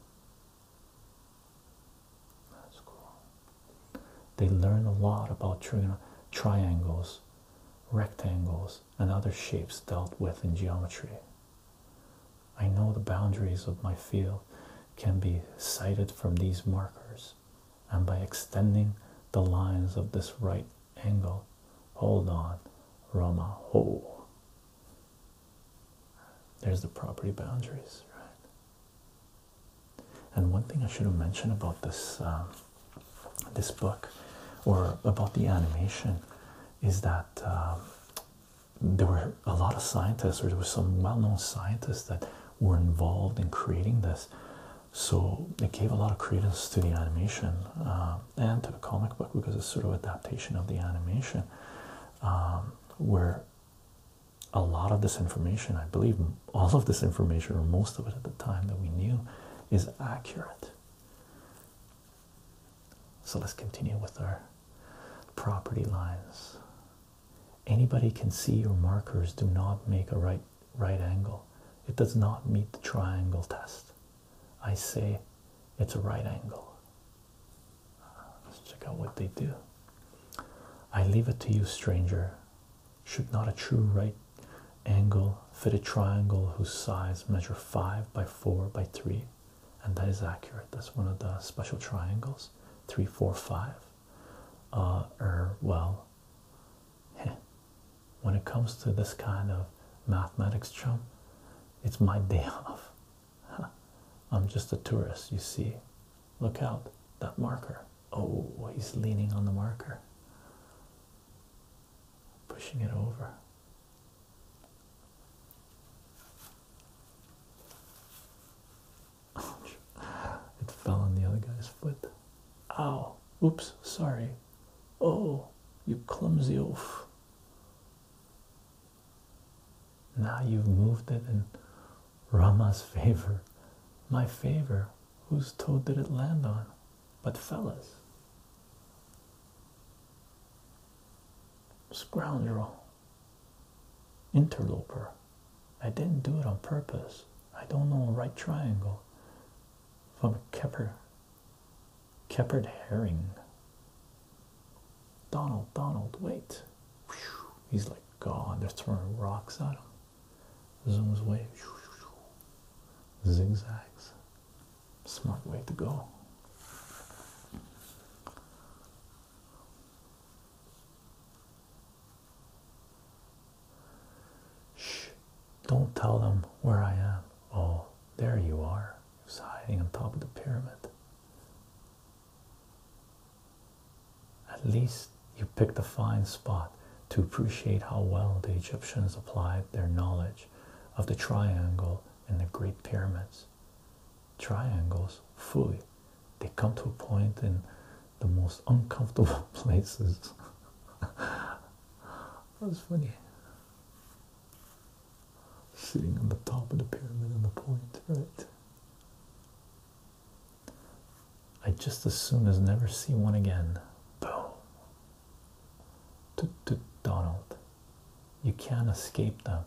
That's cool. They learned a lot about triangles, rectangles, and other shapes dealt with in geometry. I know the boundaries of my field can be cited from these markers, and by extending the lines of this right angle, hold on, Rama ho. There's the property boundaries, right? And one thing I should have mentioned about this um, this book, or about the animation, is that um, there were a lot of scientists, or there were some well-known scientists that were involved in creating this, so it gave a lot of credence to the animation uh, and to the comic book because it's sort of adaptation of the animation, um, where a lot of this information, I believe, all of this information, or most of it at the time that we knew, is accurate. So let's continue with our property lines. Anybody can see your markers do not make a right right angle. It does not meet the triangle test. I say it's a right angle. Let's check out what they do. I leave it to you, stranger. Should not a true right angle fit a triangle whose sides measure 5 by 4 by 3 and that is accurate that's one of the special triangles 3 4 5 uh, or er, well when it comes to this kind of mathematics chum it's my day off i'm just a tourist you see look out that marker oh he's leaning on the marker pushing it over. It fell on the other guy's foot. Ow. Oops, sorry. Oh, you clumsy oaf. Now you've moved it in Rama's favor. My favor. Whose toe did it land on? But fellas, scoundrel, interloper. I didn't do it on purpose. I don't know right triangle from a Kepper, Kepperd herring. Donald, Donald, wait. He's like God. They're throwing rocks at him. Zooms way. Zigzags. Smart way to go. Shh, don't tell them where I am. Oh, there you are. He's hiding on top of the pyramid. At least you picked a fine spot to appreciate how well the Egyptians applied their knowledge of the triangle and the Great Pyramids, triangles fully. They come to a point in the most uncomfortable places. was funny. Sitting on the top of the pyramid on the point, right? I just as soon as never see one again. Boom. Toot toot Donald. You can't escape them.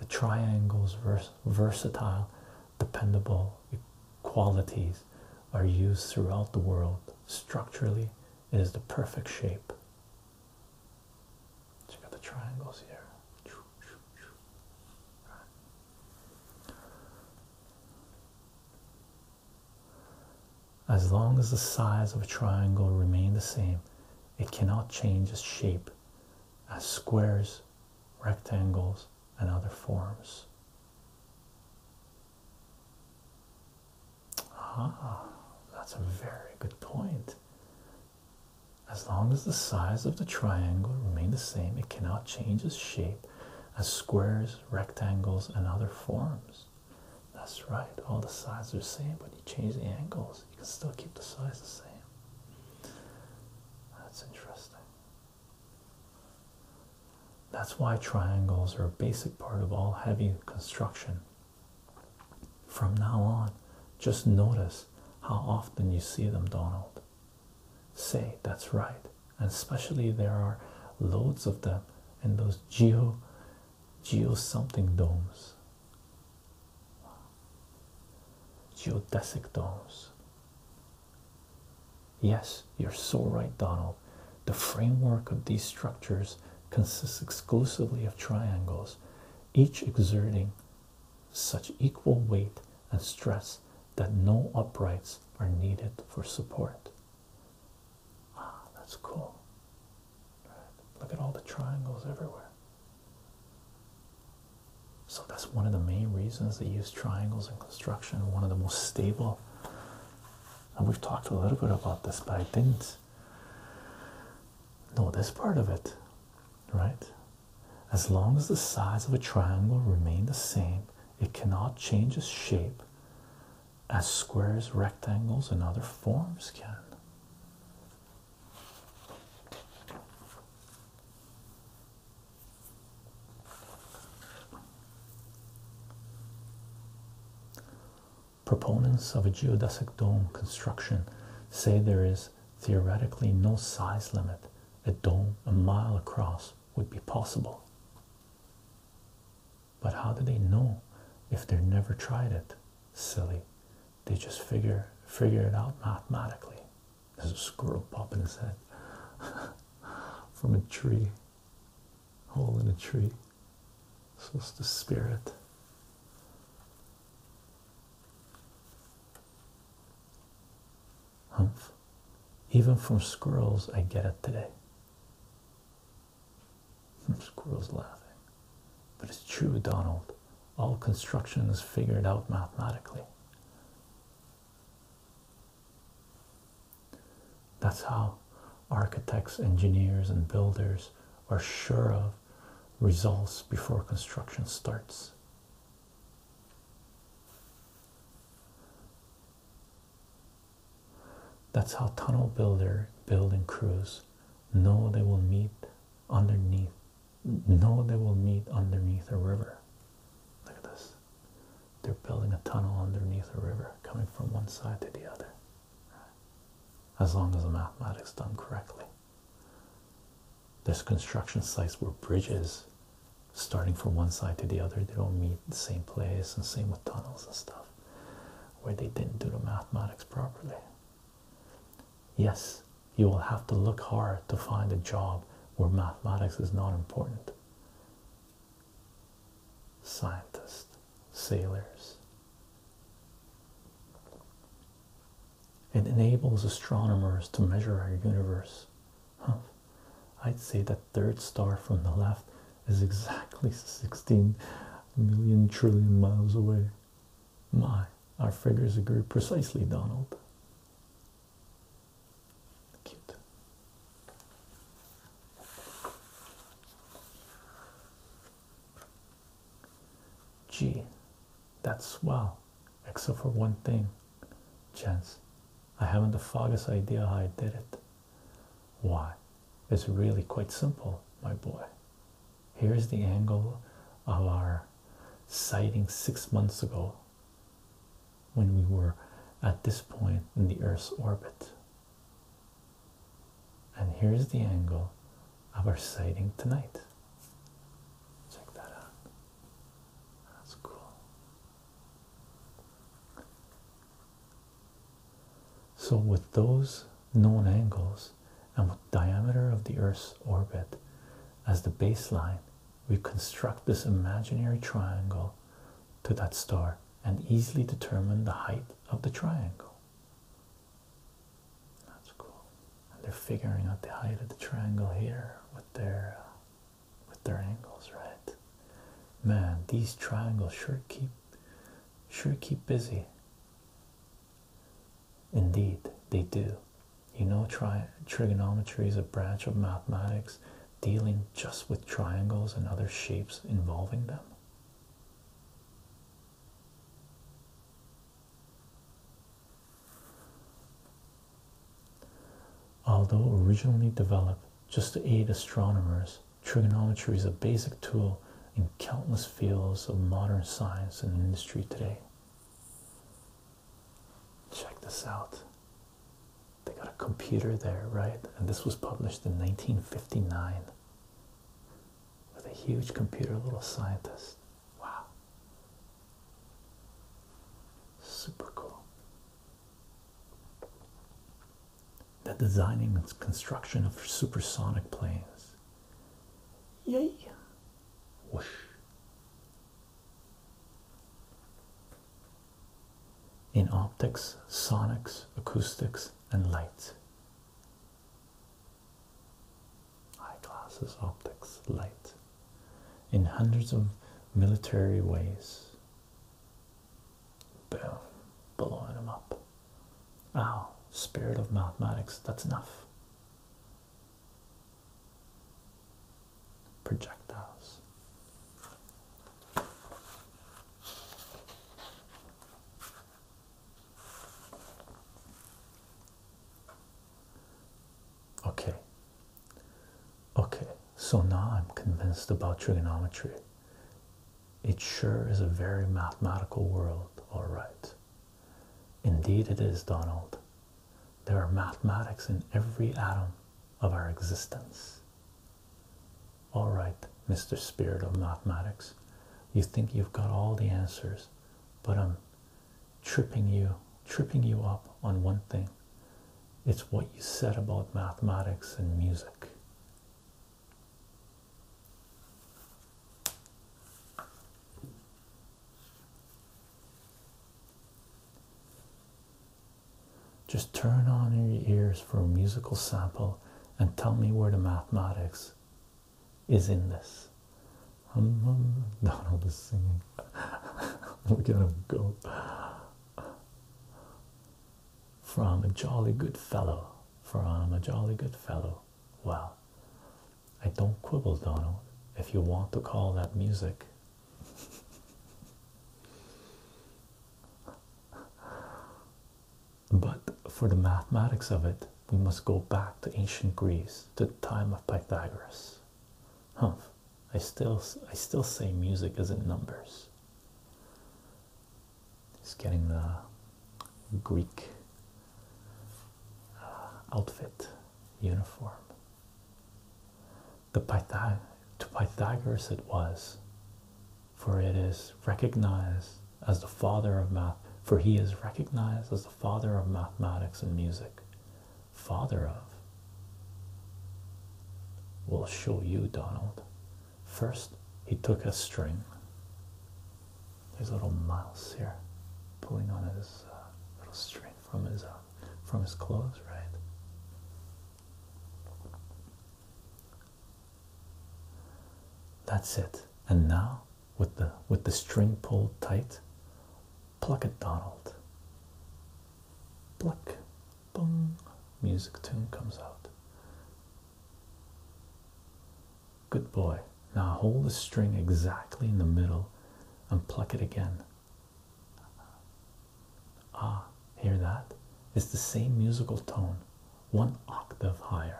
The triangle's vers versatile, dependable qualities are used throughout the world. Structurally, it is the perfect shape. Check out the triangles here. As long as the size of a triangle remain the same, it cannot change its shape as squares, rectangles, and other forms. Ah, that's a very good point. As long as the size of the triangle remain the same, it cannot change its shape as squares, rectangles, and other forms. That's right, all the sides are the same, but you change the angles, you can still keep the sides the same. That's interesting. That's why triangles are a basic part of all heavy construction. From now on, just notice how often you see them, Donald. Say that's right, and especially there are loads of them in those geo geo something domes, geodesic domes. Yes, you're so right, Donald. The framework of these structures consists exclusively of triangles, each exerting such equal weight and stress that no uprights are needed for support. Wow, ah, that's cool. Look at all the triangles everywhere. So that's one of the main reasons they use triangles in construction. One of the most stable. And we've talked a little bit about this, but I didn't know this part of it, right? As long as the sides of a triangle remain the same, it cannot change its shape as squares, rectangles, and other forms can. Proponents of a geodesic dome construction say there is theoretically no size limit. A dome a mile across would be possible. But how do they know if they've never tried it? Silly. They just figure figure it out mathematically. There's a squirrel popping his head from a tree. Hole in a tree. So it's the spirit. Humph. Even from squirrels I get it today. Squirrel's laughing. But it's true, Donald. All construction is figured out mathematically. That's how architects, engineers, and builders are sure of results before construction starts. That's how tunnel builder building crews no, they will meet underneath. No, they will meet underneath a river. Look at this. They're building a tunnel underneath a river, coming from one side to the other. As long as the mathematics done correctly. There's construction sites where bridges, starting from one side to the other, they don't meet the same place, and same with tunnels and stuff, where they didn't do the mathematics properly. Yes, you will have to look hard to find a job where mathematics is not important. Scientists, sailors. It enables astronomers to measure our universe. I'd say that third star from the left is exactly 16 million trillion miles away. My, our figures agree precisely, Donald. Cute. Gee, that's swell, except for one thing, Chance. I haven't the foggiest idea how I did it. Why? It's really quite simple, my boy. Here's the angle of our sighting six months ago when we were at this point in the Earth's orbit. And here's the angle of our sighting tonight. Check that out. That's cool. So, with those known angles, and with diameter of the Earth's orbit as the baseline, we construct this imaginary triangle to that star and easily determine the height of the triangle. That's cool. they're figuring out the height of the triangle here with their uh, with their angles, right? Man, these triangles sure keep sure keep busy. Indeed, they do. You know, trigonometry is a branch of mathematics dealing just with triangles and other shapes involving them. Although originally developed just to aid astronomers, trigonometry is a basic tool in countless fields of modern science and industry today. Check this out. They got a computer there, right? And this was published in 1959 with a huge computer, little scientist. Wow. Super cool. The designing and construction of supersonic planes. Yay! In optics, sonics, acoustics, and light. Eyeglasses, optics, light. In hundreds of military ways. Boom. Blowing them up. Oh, spirit of mathematics, that's enough. Projectiles. Okay. Okay, so now I'm convinced about trigonometry. It sure is a very mathematical world, all right. Indeed, it is, Donald. There are mathematics in every atom of our existence. All right, Mr. Spirit of Mathematics, you think you've got all the answers, but I'm tripping you, tripping you up on one thing. It's what you said about mathematics and music. Just turn on your ears for a musical sample and tell me where the mathematics is in this. Um, um, Donald is singing. Look at him go. From a jolly good fellow. From a jolly good fellow. Well, I don't quibble, Donald, if you want to call that music. But for the mathematics of it, we must go back to ancient Greece, to the time of Pythagoras. Humph, I still I still say music is in numbers. He's getting the Greek uh, outfit uniform. to Pythagoras it was, for it is recognized as the father of math. For he is recognized as the father of mathematics and music. Father of. We'll show you, Donald. First, he took a string there's little Miles here, pulling on his uh, little string from his uh, from his clothes, right? That's it. And now, with the with the string pulled tight, pluck it, Donald. Pluck, boom. Music tune comes out. Good boy. Now hold the string exactly in the middle and pluck it again. Ah, hear that? It's the same musical tone, one octave higher.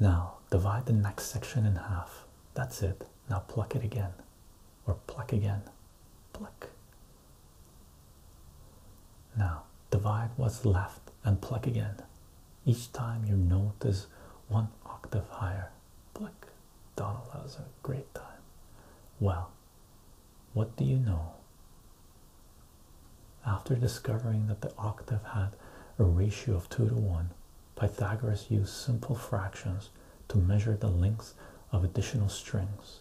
Now divide the next section in half. That's it. Now pluck it again. Or pluck again. Pluck. Now divide what's left and pluck again. Each time you notice one octave higher. Pluck. Donald has a great time. Well, what do you know? After discovering that the octave had a ratio of 2 to 1, Pythagoras used simple fractions to measure the lengths of additional strings.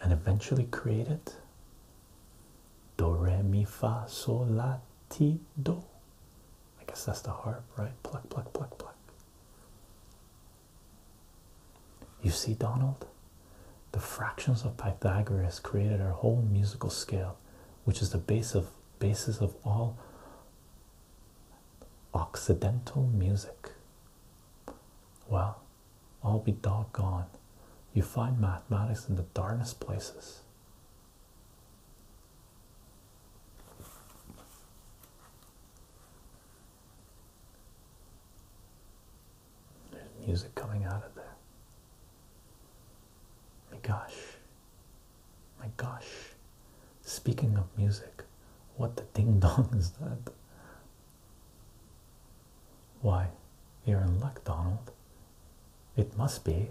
And eventually created Do Re Mi Fa Sol La Ti Do. I guess that's the harp, right? Pluck, pluck, pluck, pluck. You see, Donald, the fractions of Pythagoras created our whole musical scale, which is the base of basis of all Occidental music. Well, all be doggone. You find mathematics in the darkest places. There's music coming out of there. My gosh. My gosh. Speaking of music, what the ding dong is that? Why, you're in luck, Donald. It must be.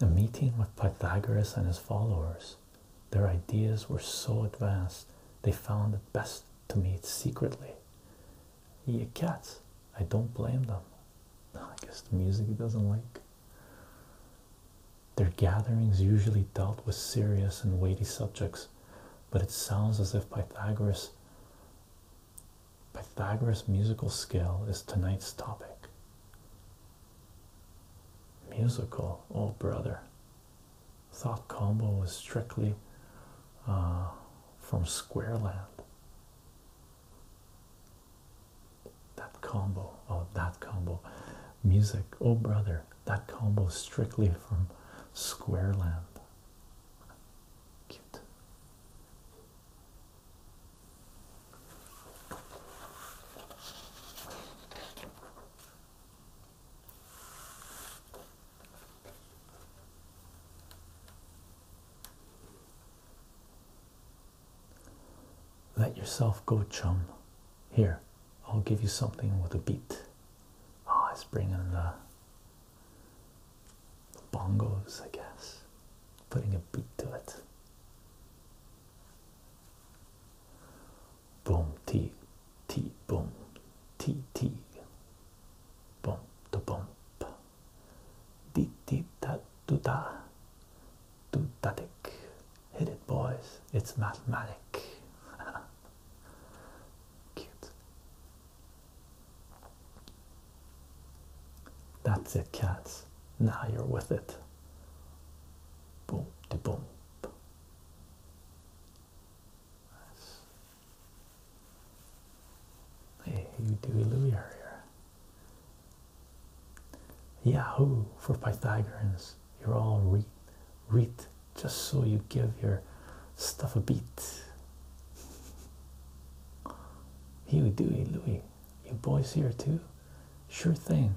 A meeting with Pythagoras and his followers. Their ideas were so advanced they found it best to meet secretly. Ye cats, I don't blame them. I guess the music he doesn't like. Their gatherings usually dealt with serious and weighty subjects, but it sounds as if Pythagoras Pythagoras musical skill is tonight's topic. Musical, oh brother. Thought combo was strictly uh, from Squareland. That combo, oh, that combo, music, oh brother, that combo strictly from Squareland. Cute. Let yourself go, chum. Here, I'll give you something with a beat. Ah, oh, it's bringing the, the bongos, I guess. Putting a beat to it boom, T, T, boom, T, T, boom, to bump, dee, dee, da, do, da, do, da, dick. Hit it, boys, it's mathematic. Cute. That's it, cats. Now you're with it. Boom, to boom. Hey, you Dewey Louie earlier. Yahoo for Pythagoreans. You're all reet, reet, just so you give your stuff a beat. Huey, Dewey, Louie, you boys here too? Sure thing,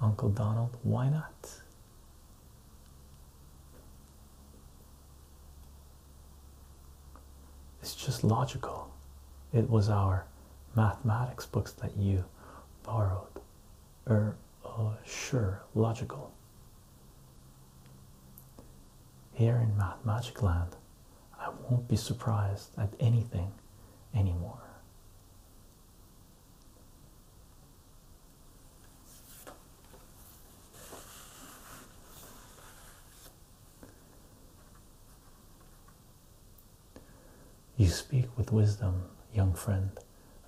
Uncle Donald. Why not? It's just logical. It was our mathematics books that you borrowed. Er, uh, sure, logical. Here in Math Magic Land, I won't be surprised at anything anymore. You speak with wisdom, young friend.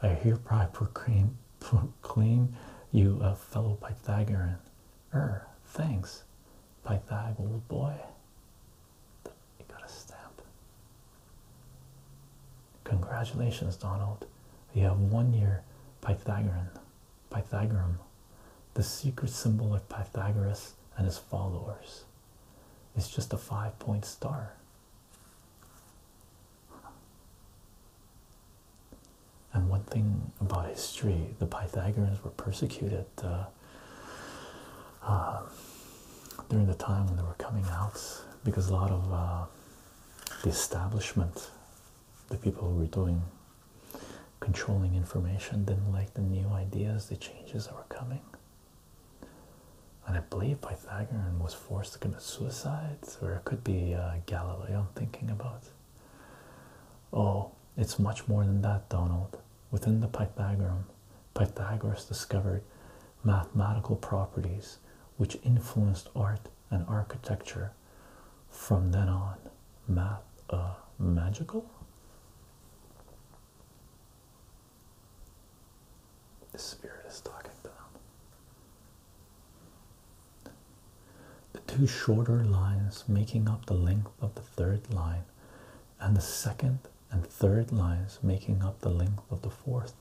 I hereby proclaim, proclaim you a fellow Pythagorean. Er, thanks, Pythag, old boy. You got a stamp. Congratulations, Donald. You have one year Pythagorean. Pythagorean. The secret symbol of Pythagoras and his followers. It's just a five point star. And one thing about history, the Pythagoreans were persecuted uh, uh, during the time when they were coming out because a lot of uh, the establishment, the people who were doing controlling information, didn't like the new ideas, the changes that were coming. And I believe Pythagorean was forced to commit suicide, or it could be uh, Galileo I'm thinking about. Oh, it's much more than that, Donald. Within the Pythagorean, Pythagoras discovered mathematical properties which influenced art and architecture from then on. Math, uh, magical? The spirit is talking to them. The two shorter lines making up the length of the third line, and the second and third lines making up the length of the fourth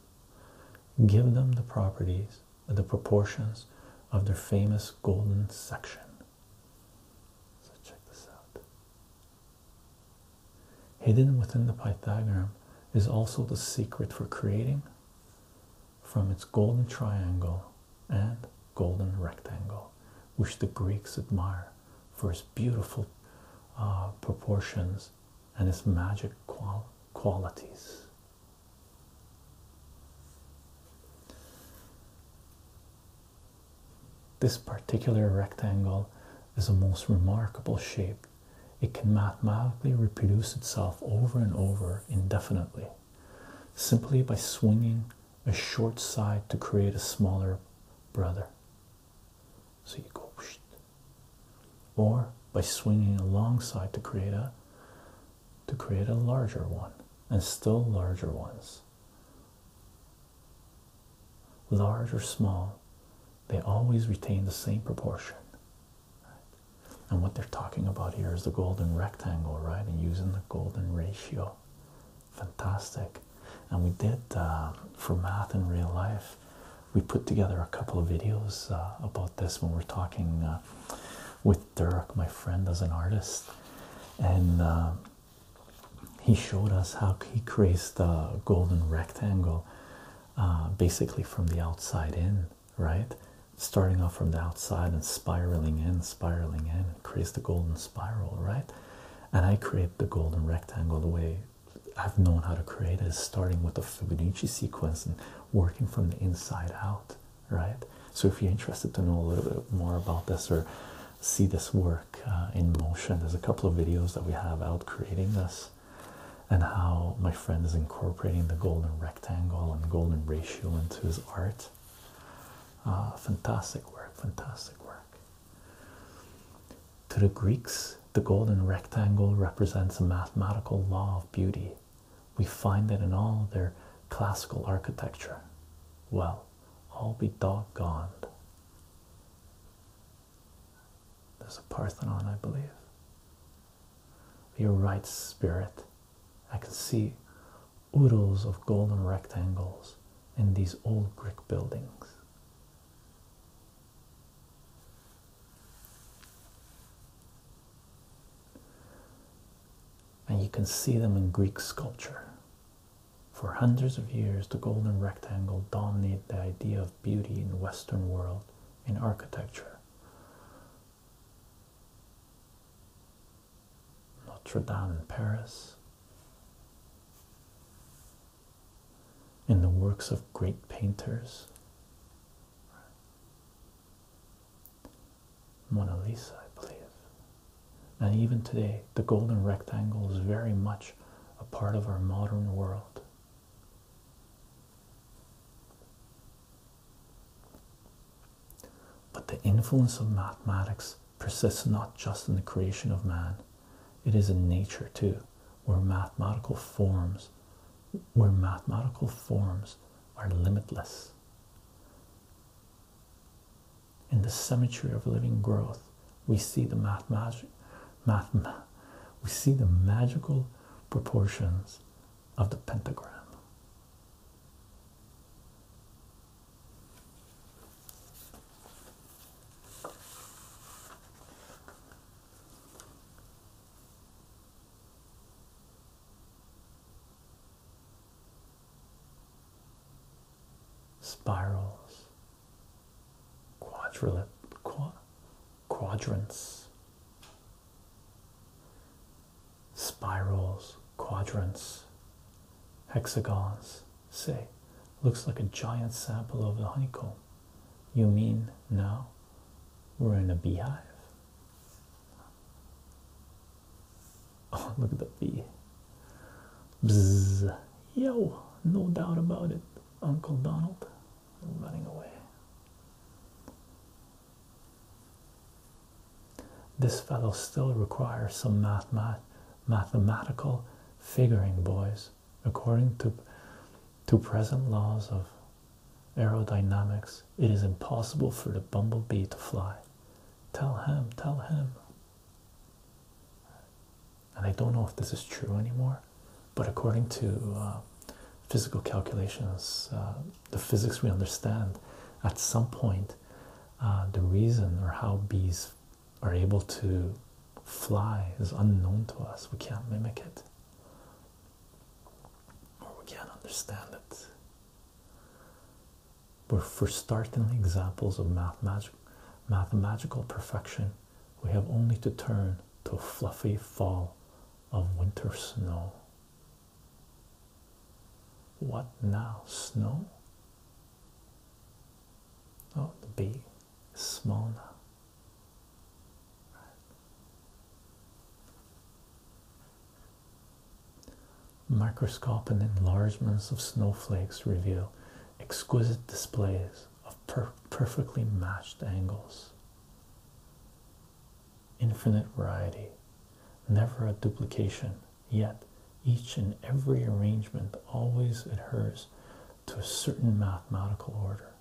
Give them the properties, the proportions of their famous golden section. check this out. Hidden within the Pythagorean is also the secret for creating from its golden triangle and golden rectangle, which the Greeks admire for its beautiful uh, proportions and its magic qualities. This particular rectangle is a most remarkable shape. It can mathematically reproduce itself over and over indefinitely simply by swinging a short side to create a smaller brother. So you go or by swinging alongside to create a to create a larger one and still larger ones large or small they always retain the same proportion and what they're talking about here is the golden rectangle right and using the golden ratio fantastic and we did uh, for math in real life we put together a couple of videos uh, about this when we're talking uh, with Dirk, my friend, as an artist, and uh, he showed us how he creates the golden rectangle basically from the outside in, right? Starting off from the outside and spiraling in, spiraling in, creates the golden spiral, right? And I create the golden rectangle the way I've known how to create it, starting with the Fibonacci sequence and working from the inside out, right? So, if you're interested to know a little bit more about this or see this work uh, in motion, there's a couple of videos that we have out creating this and how my friend is incorporating the golden rectangle and golden ratio into his art. Uh, fantastic work, fantastic work. To the Greeks, the golden rectangle represents a mathematical law of beauty. We find it in all their classical architecture. Well, I'll be doggone. There's a Parthenon, I believe. You're right, Spirit. I can see oodles of golden rectangles in these old Greek buildings. And you can see them in Greek sculpture. For hundreds of years, the golden rectangle dominated the idea of beauty in the Western world in architecture. Notre Dame in Paris, in the works of great painters. Mona Lisa, I believe. And even today, the golden rectangle is very much a part of our modern world. But the influence of mathematics persists not just in the creation of man, it is in nature too, where mathematical forms where mathematical forms are limitless. In the symmetry of living growth, we see the math we see the magical proportions of the pentagram spirals, quadrilip, quadrants, spirals, quadrants, hexagons. Say, looks like a giant sample of the honeycomb. You mean now we're in a beehive? Oh, look at the V. Bzz. Yo, no doubt about it, Uncle Donald. Running away. This fellow still requires some math mathematical figuring, boys, according to, to present laws of Aerodynamics. It is impossible for the bumblebee to fly. Tell him, tell him. And I don't know if this is true anymore, but according to uh, physical calculations, uh, the physics we understand, at some point, uh, the reason or how bees are able to fly is unknown to us. We can't mimic it or oh, we can't understand it. But for startling examples of mathematical perfection, we have only to turn to a fluffy fall of winter snow. What now? Snow? Oh, the bee is small now. Microscope and enlargements of snowflakes reveal exquisite displays of perfectly matched angles. Infinite variety, never a duplication, yet each and every arrangement always adheres to a certain mathematical order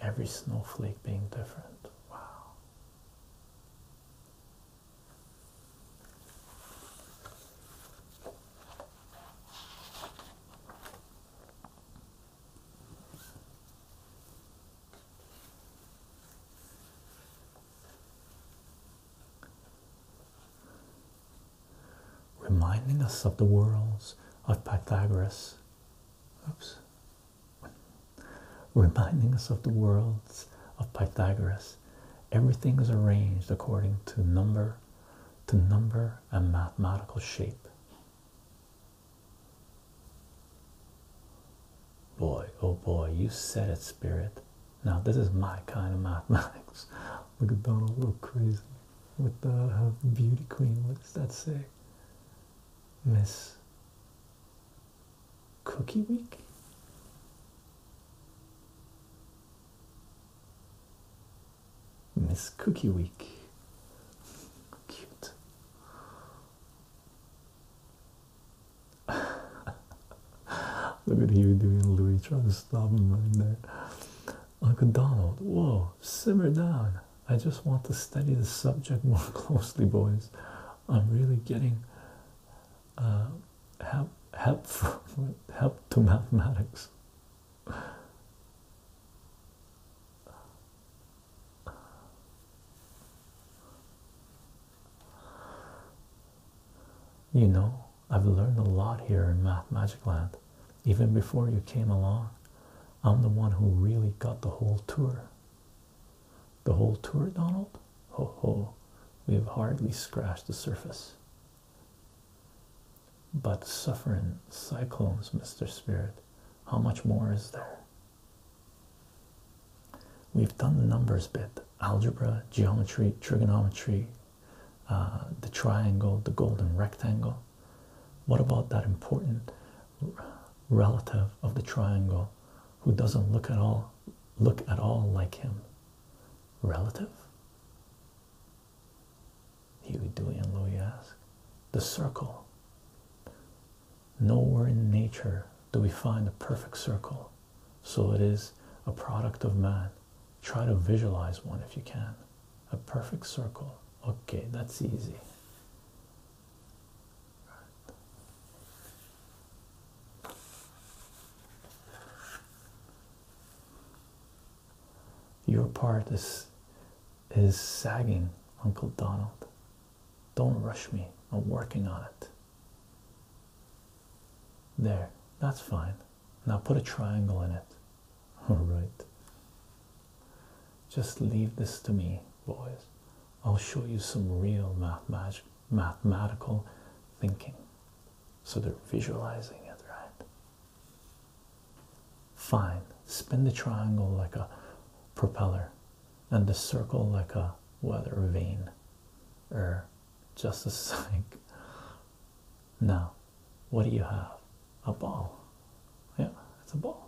every snowflake being different. Wow reminding us of the worlds of Pythagoras. Oops. Reminding us of the worlds of Pythagoras. Everything is arranged according to number, to number and mathematical shape. Boy, oh boy, you said it, spirit. Now this is my kind of mathematics. Look at Donald, look crazy with the beauty queen. looks that's that Miss Cookie Week. Miss Cookie Week. Cute. Look at you doing Louis trying to stop him running there. Uncle Donald, whoa, simmer down. I just want to study the subject more closely, boys. I'm really getting uh, help, help, help to mathematics. You know, I've learned a lot here in Math Magic Land even before you came along. I'm the one who really got the whole tour. The whole tour, Donald? Ho ho, we have hardly scratched the surface. But suffering cyclones, Mr. Spirit, how much more is there? We've done the numbers bit algebra, geometry, trigonometry, uh, the triangle, the golden rectangle. What about that important relative of the triangle who doesn't look at all look at all like him? Relative? Huey, do, and Louie ask. The circle. Nowhere in nature do we find a perfect circle, so it is a product of man. Try to visualize one if you can a perfect circle okay that's easy your part is is sagging uncle donald don't rush me i'm working on it there that's fine now put a triangle in it All right. Just leave this to me, boys. I'll show you some real math magic, mathematical thinking. So they're visualizing it, right? Fine. Spin the triangle like a propeller and the circle like a weather vane. Or er, just a psych. Now, what do you have? A ball. Yeah, it's a ball.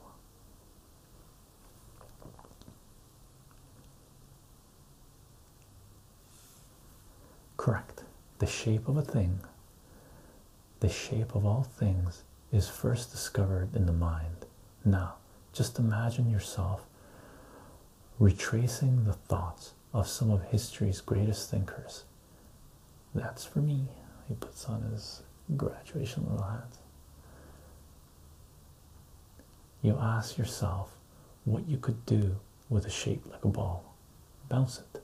Correct. The shape of a thing, the shape of all things, is first discovered in the mind. Now, just imagine yourself retracing the thoughts of some of history's greatest thinkers that's for me. He puts on his graduation little hat. You ask yourself what you could do with a shape like a ball. Bounce it.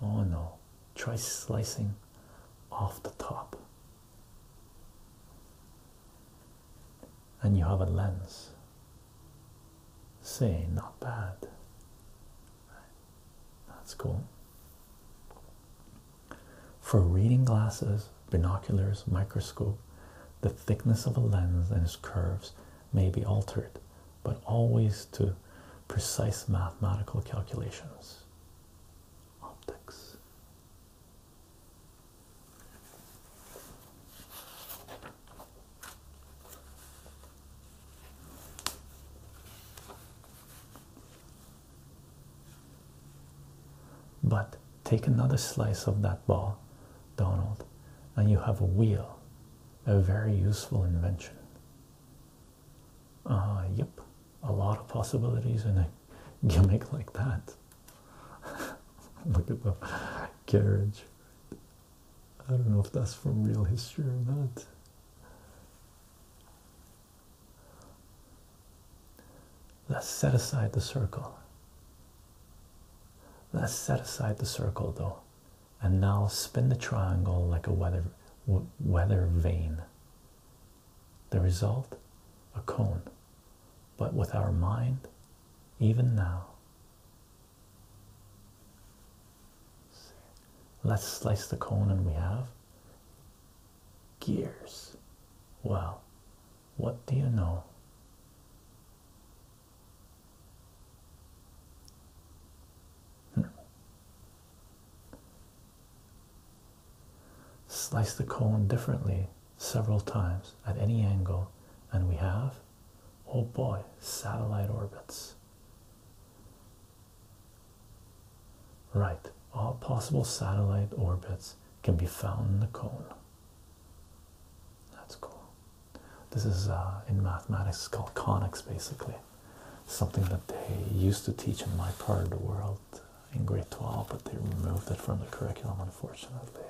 Oh no. Try slicing off the top. And you have a lens. Say, not bad. That's cool. For reading glasses, binoculars, microscope, the thickness of a lens and its curves may be altered, but always to precise mathematical calculations. Optics. But take another slice of that ball, Donald, and you have a wheel, a very useful invention. Uh, yep, a lot of possibilities in a gimmick like that. Look at the carriage. I don't know if that's from real history or not. Let's set aside the circle. Let's set aside the circle though, and now spin the triangle like a weather weather vane. The result, a cone, but with our mind, even now. Let's slice the cone, and we have gears. Well, what do you know? Hmm. Slice the cone differently several times at any angle, and we have oh boy, satellite orbits. Right, all possible satellite orbits can be found in the cone. That's cool. This is uh, in mathematics called conics, basically, something that they used to teach in my part of the world in grade 12, but they removed it from the curriculum, unfortunately.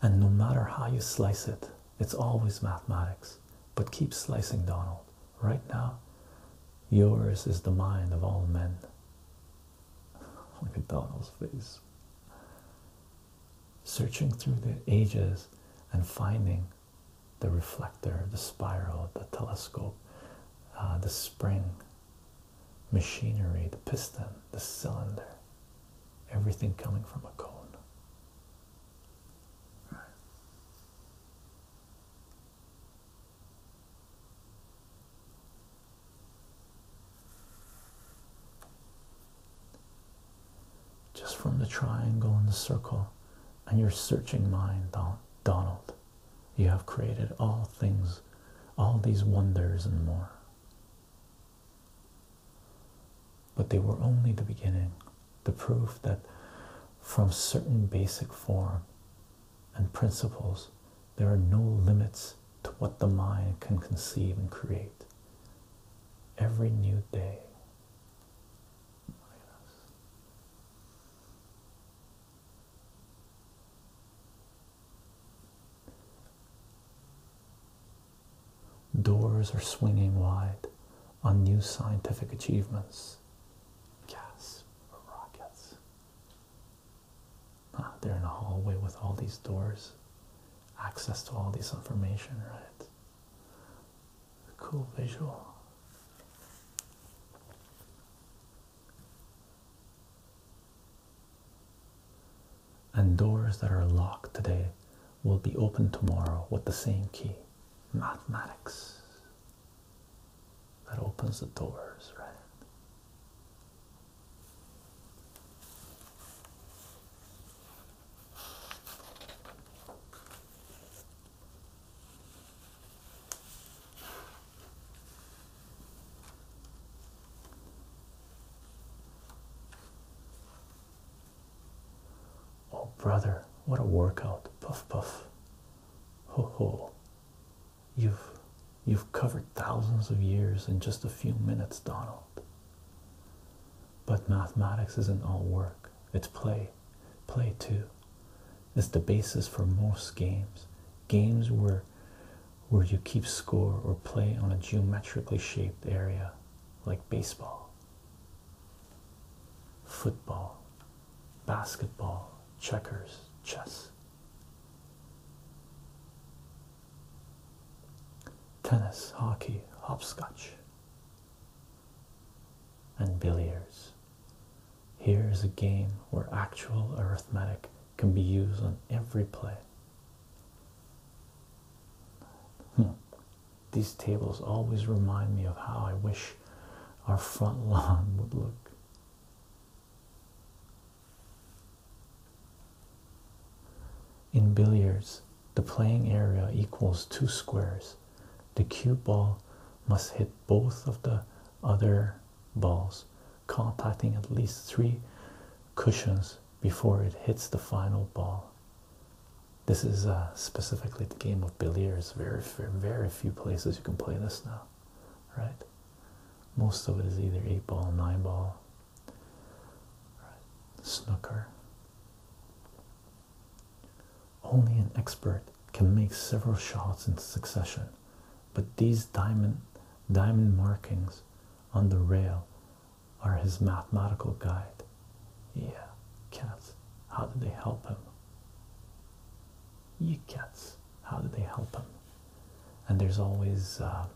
And no matter how you slice it, it's always mathematics. But keep slicing, Donald. Right now, yours is the mind of all men. Look at Donald's face. Searching through the ages and finding the reflector, the spiral, the telescope, uh, the spring, machinery, the piston, the cylinder, everything coming from a cone. Just from the triangle and the circle, and your searching mind, Donald, you have created all things, all these wonders and more. But they were only the beginning, the proof that from certain basic form and principles, there are no limits to what the mind can conceive and create. Every new day. Doors are swinging wide on new scientific achievements. Gas rockets. Ah, they're in a hallway with all these doors. Access to all this information, right? Cool visual and doors that are locked today will be open tomorrow with the same key. Mathematics. That opens the doors, right? Oh, brother, what a workout. Puff, puff. Ho, ho. You've, you've covered thousands of years in just a few minutes, Donald. But mathematics isn't all work, it's play. Play, too. It's the basis for most games. Games where where you keep score or play on a geometrically shaped area like baseball football, basketball, checkers, chess, tennis, hockey, hopscotch, and billiards. Here is a game where actual arithmetic can be used on every play. Hmm. These tables always remind me of how I wish our front lawn would look. In billiards, the playing area equals two squares. The cue ball must hit both of the other balls, contacting at least three cushions before it hits the final ball. This is uh, specifically the game of Billiards. Very, very few places you can play this now, right? Most of it is either eight ball, nine ball, snooker. Only an expert can make several shots in succession, but these diamond diamond markings on the rail are his mathematical guide. Yeah, cats. How did they help him? You cats. How did they help him? And there's always, uh,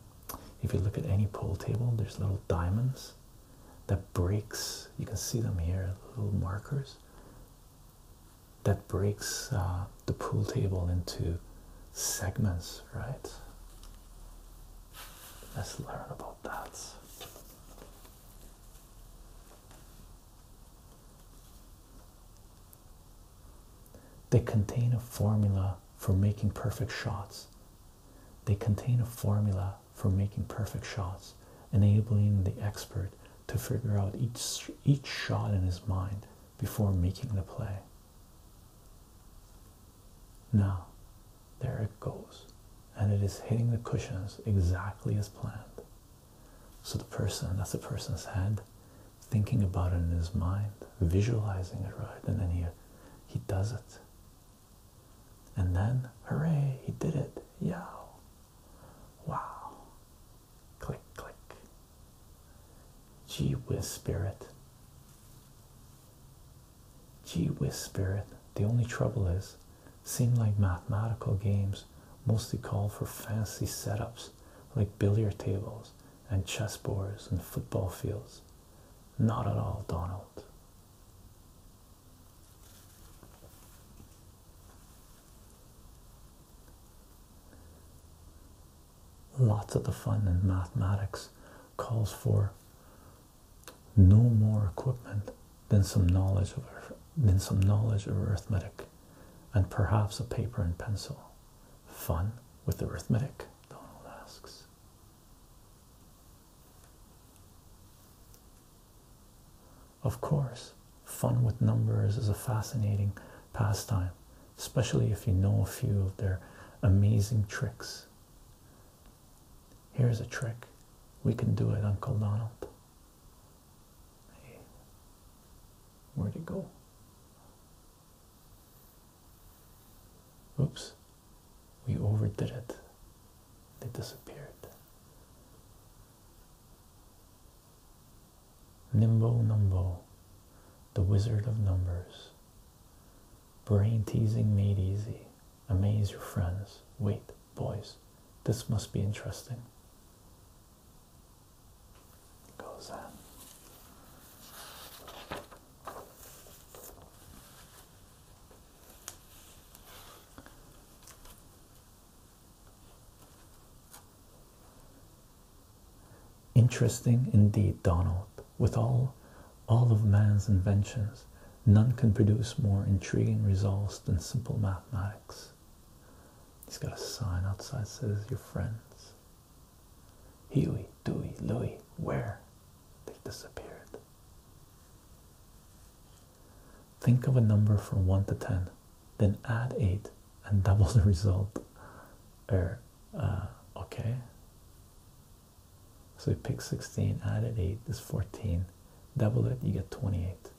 if you look at any pool table, there's little diamonds that breaks. You can see them here, little markers. That breaks uh, the pool table into segments, right? Let's learn about that. They contain a formula for making perfect shots. They contain a formula for making perfect shots, enabling the expert to figure out each, each shot in his mind before making the play. Now, there it goes. And it is hitting the cushions exactly as planned. So the person, that's the person's head, thinking about it in his mind, visualizing it right, and then he he does it. And then, hooray, he did it. Yeah. Wow. Click, click. Gee whiz spirit. Gee whiz, Spirit. The only trouble is, seem like mathematical games mostly call for fancy setups like billiard tables and chessboards and football fields. Not at all, Donald. Lots of the fun in mathematics calls for no more equipment than some knowledge of than some knowledge of arithmetic, and perhaps a paper and pencil. Fun with arithmetic? Donald asks. Of course, fun with numbers is a fascinating pastime, especially if you know a few of their amazing tricks. Here's a trick. We can do it, Uncle Donald. where'd it go? Oops, we overdid it. They disappeared. Nimbo Numbo, the Wizard of Numbers. Brain teasing made easy. Amaze your friends. Wait, boys, this must be interesting. Goes on. Interesting indeed, Donald, with all all of man's inventions, none can produce more intriguing results than simple mathematics. He's got a sign outside says, Your friends. Huey, Dewey, Louie, where? They've disappeared. Think of a number from 1 to 10, then add 8 and double the result. Er, uh, okay. So you pick 16, add it 8 is 14. Double it, you get 28.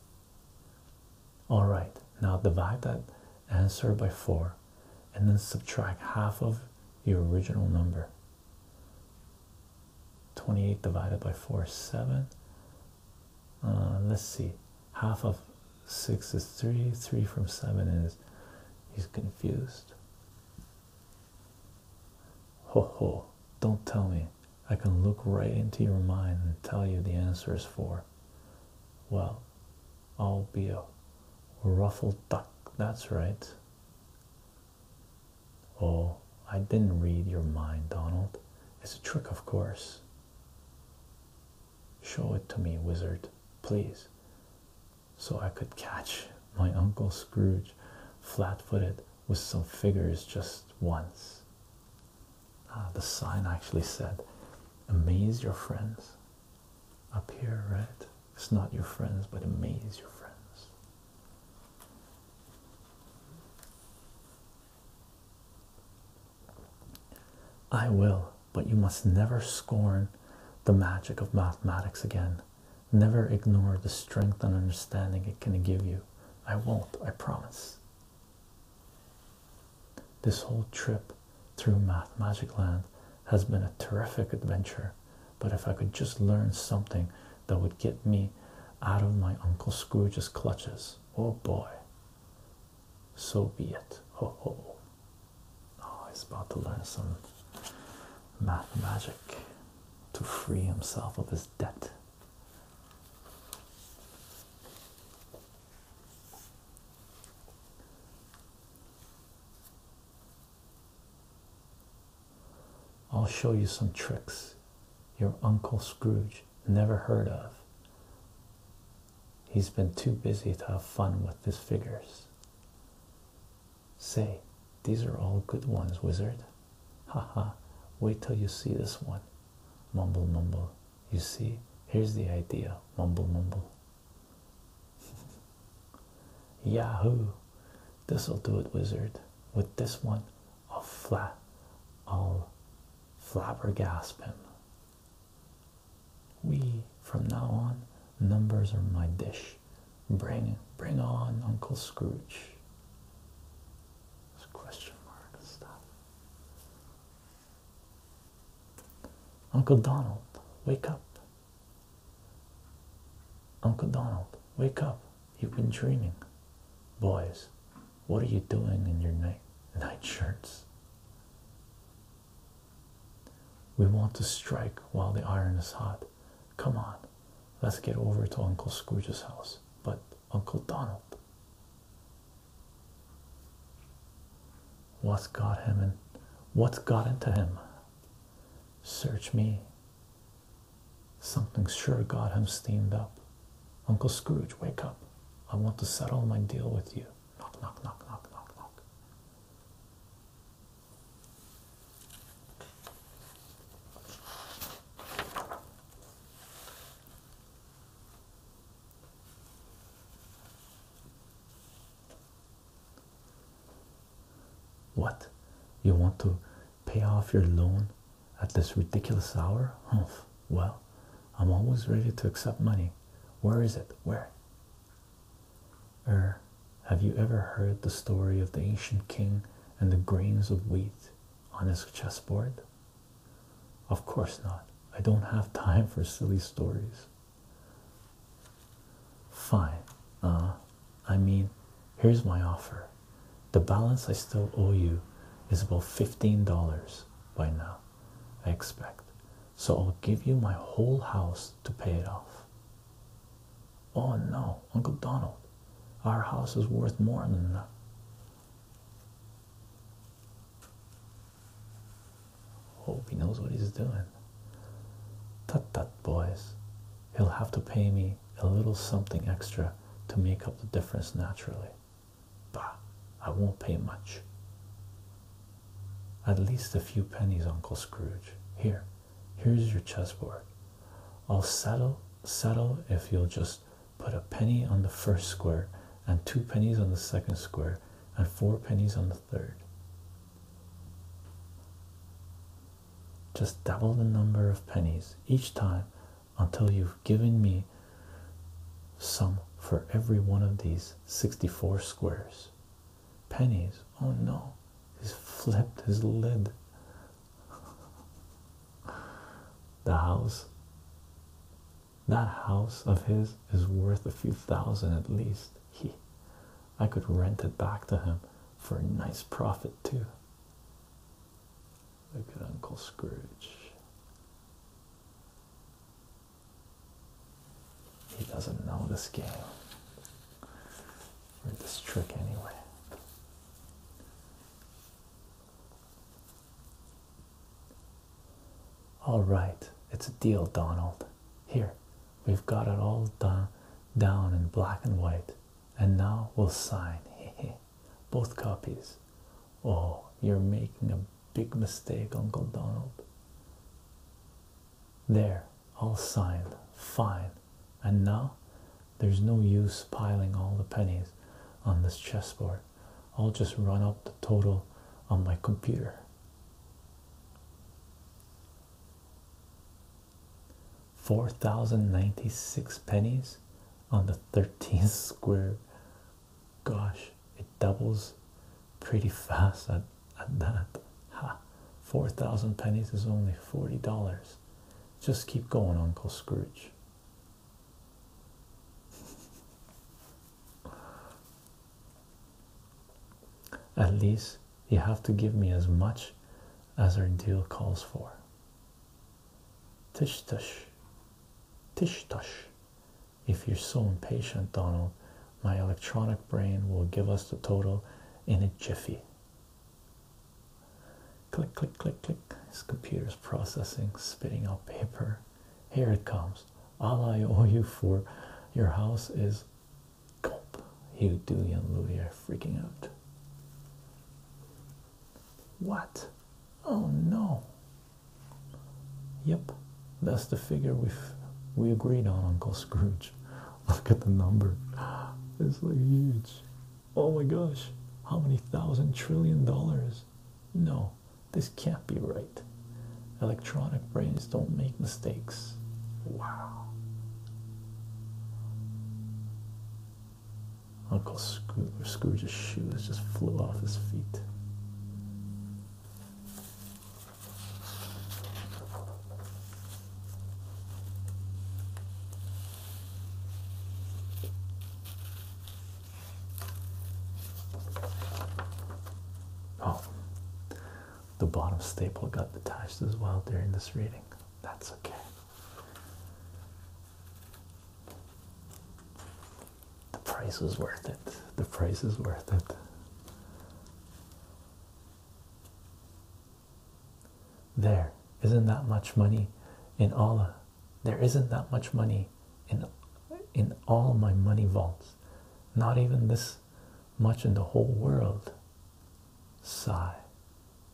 All right, now divide that answer by 4 and then subtract half of your original number. 28 divided by 4 is 7. Uh, let's see, half of 6 is 3, 3 from 7 is, he's confused. Ho ho, don't tell me. I can look right into your mind and tell you the answer is four. Well, I'll be a ruffled duck, that's right. Oh, I didn't read your mind, Donald. It's a trick, of course. Show it to me, wizard, please, so I could catch my Uncle Scrooge flat footed with some figures just once. Uh, the sign actually said, Amaze your friends. Up here, right? It's not your friends, but amaze your friends. I will, but you must never scorn the magic of mathematics again. Never ignore the strength and understanding it can give you. I won't, I promise. This whole trip through Math Magic Land has been a terrific adventure, but if I could just learn something that would get me out of my Uncle Scrooge's clutches, oh boy, so be it. Oh, ho. Oh, he's about to learn some math magic to free himself of his debt. I'll show you some tricks your Uncle Scrooge never heard of. He's been too busy to have fun with his figures. Say, these are all good ones, wizard. Ha ha! wait till you see this one mumble mumble you see here's the idea mumble mumble yahoo this'll do it wizard with this one i'll flat i'll flabbergasp him we from now on numbers are my dish Bring bring on Uncle Scrooge. question mark Uncle Donald, wake up. Uncle Donald, wake up. You've been dreaming. Boys, what are you doing in your night night shirts? We want to strike while the iron is hot. Come on, Let's get over to Uncle Scrooge's house. But Uncle Donald. What's got him and what's got into him? Search me. Something sure got him steamed up. Uncle Scrooge, wake up. I want to settle my deal with you. Knock, knock, knock, knock, knock, knock. What you want to pay off your loan at this ridiculous hour? Humph. Well, I'm always ready to accept money. Where is it? Where? Er, have you ever heard the story of the ancient king and the grains of wheat? on his chessboard? Of course not. I don't have time for silly stories. Fine. Uh, I mean, here's my offer. The balance I still owe you is about $15 by now, I expect. So I'll give you my whole house to pay it off. Oh no, Uncle Donald, our house is worth more than that. Hope he knows what he's doing. Tut tut, boys. He'll have to pay me a little something extra to make up the difference naturally. Bah, I won't pay much. At least a few pennies, Uncle Scrooge. Here, here's your chessboard. I'll settle settle if you'll just put a penny on the first square and two pennies on the second square and four pennies on the third. Just double the number of pennies each time until you've given me some for every one of these 64 squares. Pennies. Oh no, he's flipped his lid the house that house of his is worth a few thousand at least he i could rent it back to him for a nice profit too look at uncle scrooge he doesn't know this game or this trick anyway all right, it's a deal, Donald. Here, we've got it all done down in black and white, and now we'll sign. Both copies. Oh, you're making a big mistake, Uncle Donald. There, all signed. Fine and now there's no use piling all the pennies on this chessboard. I'll just run up the total on my computer. Four thousand ninety six pennies on the thirteenth square. Gosh, it doubles pretty fast at, at that. Ha! Four thousand pennies is only forty dollars. Just keep going, Uncle Scrooge. At least you have to give me as much as our deal calls for. Tish tush, tish tush. If you're so impatient, Donald, my electronic brain will give us the total in a jiffy. Click, click, click, click. His computer's processing, spitting out paper. Here it comes. All I owe you for your house is gulp. You Dewey and Louie are freaking out. What? Oh no. Yep, that's the figure we we agreed on, Uncle Scrooge. Look at the number. It's like huge oh my gosh, how many thousand trillion dollars? No, this can't be right. Electronic brains don't make mistakes. Wow. Uncle Scrooge's shoes just flew off his feet. Oh, the bottom staple got detached as well during this reading. That's okay. The price is worth it. The price is worth it. There isn't that much money in Allah there isn't that much money in in all my money vaults not even this much in the whole world sigh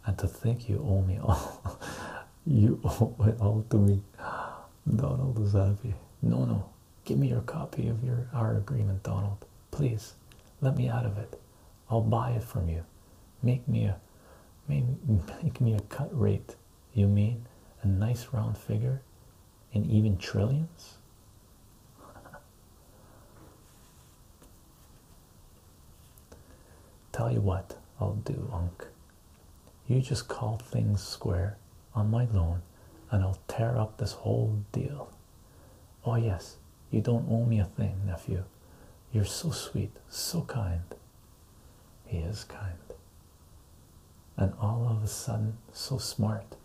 and to think you owe me all you owe it all to me donald is happy no no give me your copy of your our agreement donald please let me out of it I'll buy it from you. Make me a make me a cut rate. You mean a nice round figure in even trillions? Tell you what I'll do, Unc. You just call things square on my loan and I'll tear up this whole deal. Oh, yes, you don't owe me a thing, nephew. You're so sweet, so kind. He is kind. And all of a sudden, so smart.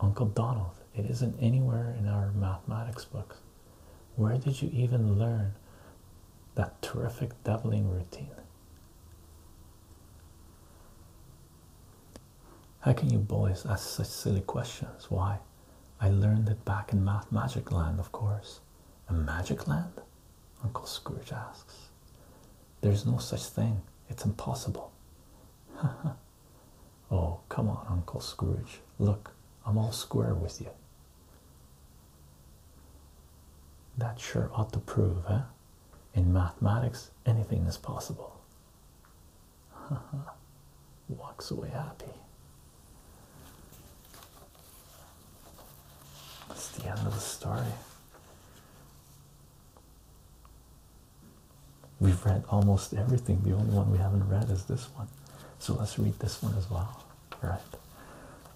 Uncle Donald, it isn't anywhere in our mathematics books. Where did you even learn that terrific doubling routine? How can you boys ask such silly questions? Why? I learned it back in Math Magic Land, of course. A magic land? Uncle Scrooge asks. There's no such thing. It's impossible. oh, come on, Uncle Scrooge. Look, I'm all square with you. That sure ought to prove, eh? In mathematics, anything is possible. Walks away happy. That's the end of the story. We've read almost everything. The only one we haven't read is this one. So let's read this one as well, right?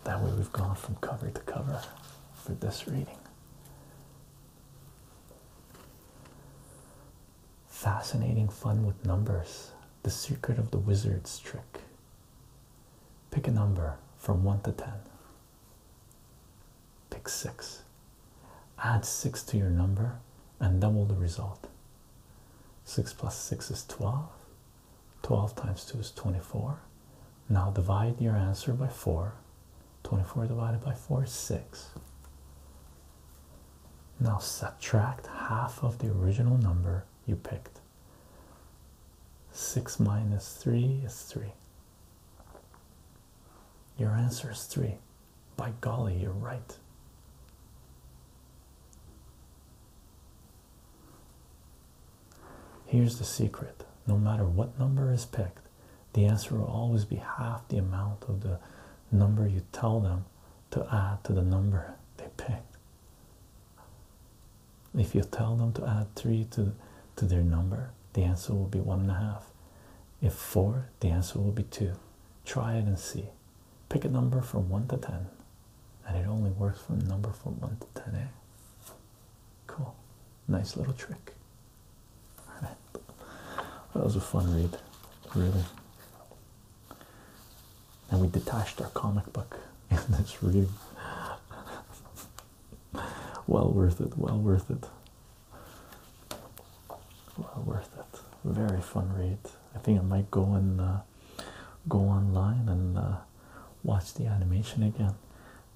That way we've gone from cover to cover for this reading. Fascinating fun with numbers. The secret of the wizard's trick. Pick a number from 1 to 10. Pick 6. Add 6 to your number and double the result. 6 plus 6 is 12. 12 times 2 is 24. Now divide your answer by 4. 24 divided by 4 is 6. Now subtract half of the original number you picked. 6 minus 3 is 3. Your answer is 3. By golly, you're right. Here's the secret no matter what number is picked, the answer will always be half the amount of the number you tell them to add to the number they picked. If you tell them to add three to to their number, the answer will be one and a half. If four, the answer will be two. Try it and see. Pick a number from one to ten, and it only works for a number from one to ten. Eh? Cool, nice little trick. that was a fun read, really and we detached our comic book in this review. well worth it, well worth it. Well worth it. Very fun read. I think I might go and uh, go online and uh, watch the animation again.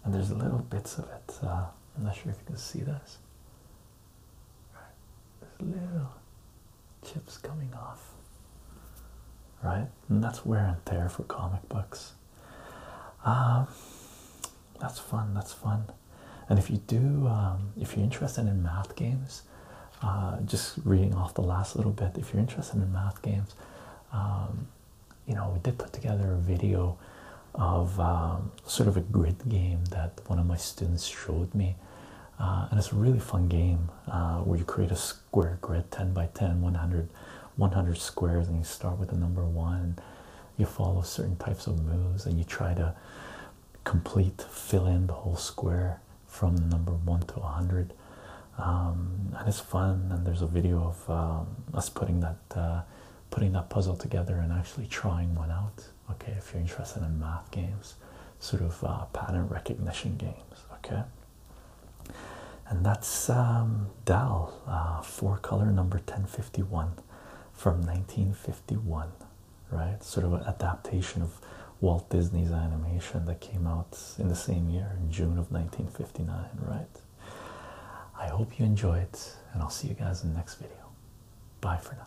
And there's little bits of it. Uh, I'm not sure if you can see this. There's little chips coming off. Right and that's wear and tear for comic books. Um, that's fun. That's fun. And if you do, um, if you're interested in math games, uh, just reading off the last little bit. If you're interested in math games, um, you know we did put together a video of sort of a grid game that one of my students showed me, uh, and it's a really fun game uh, where you create a square grid 10 by 10 100 squares and you start with the number one you follow certain types of moves and you try to complete fill in the whole square from the number one to 100 um, and it's fun and there's a video of um, us putting that uh, putting that puzzle together and actually trying one out okay if you're interested in math games sort of uh, pattern recognition games okay and that's um, Dal uh, four color number 1051 from 1951, right? Sort of an adaptation of Walt Disney's animation that came out in the same year, in June of 1959, right? I hope you enjoy it, and I'll see you guys in the next video. Bye for now.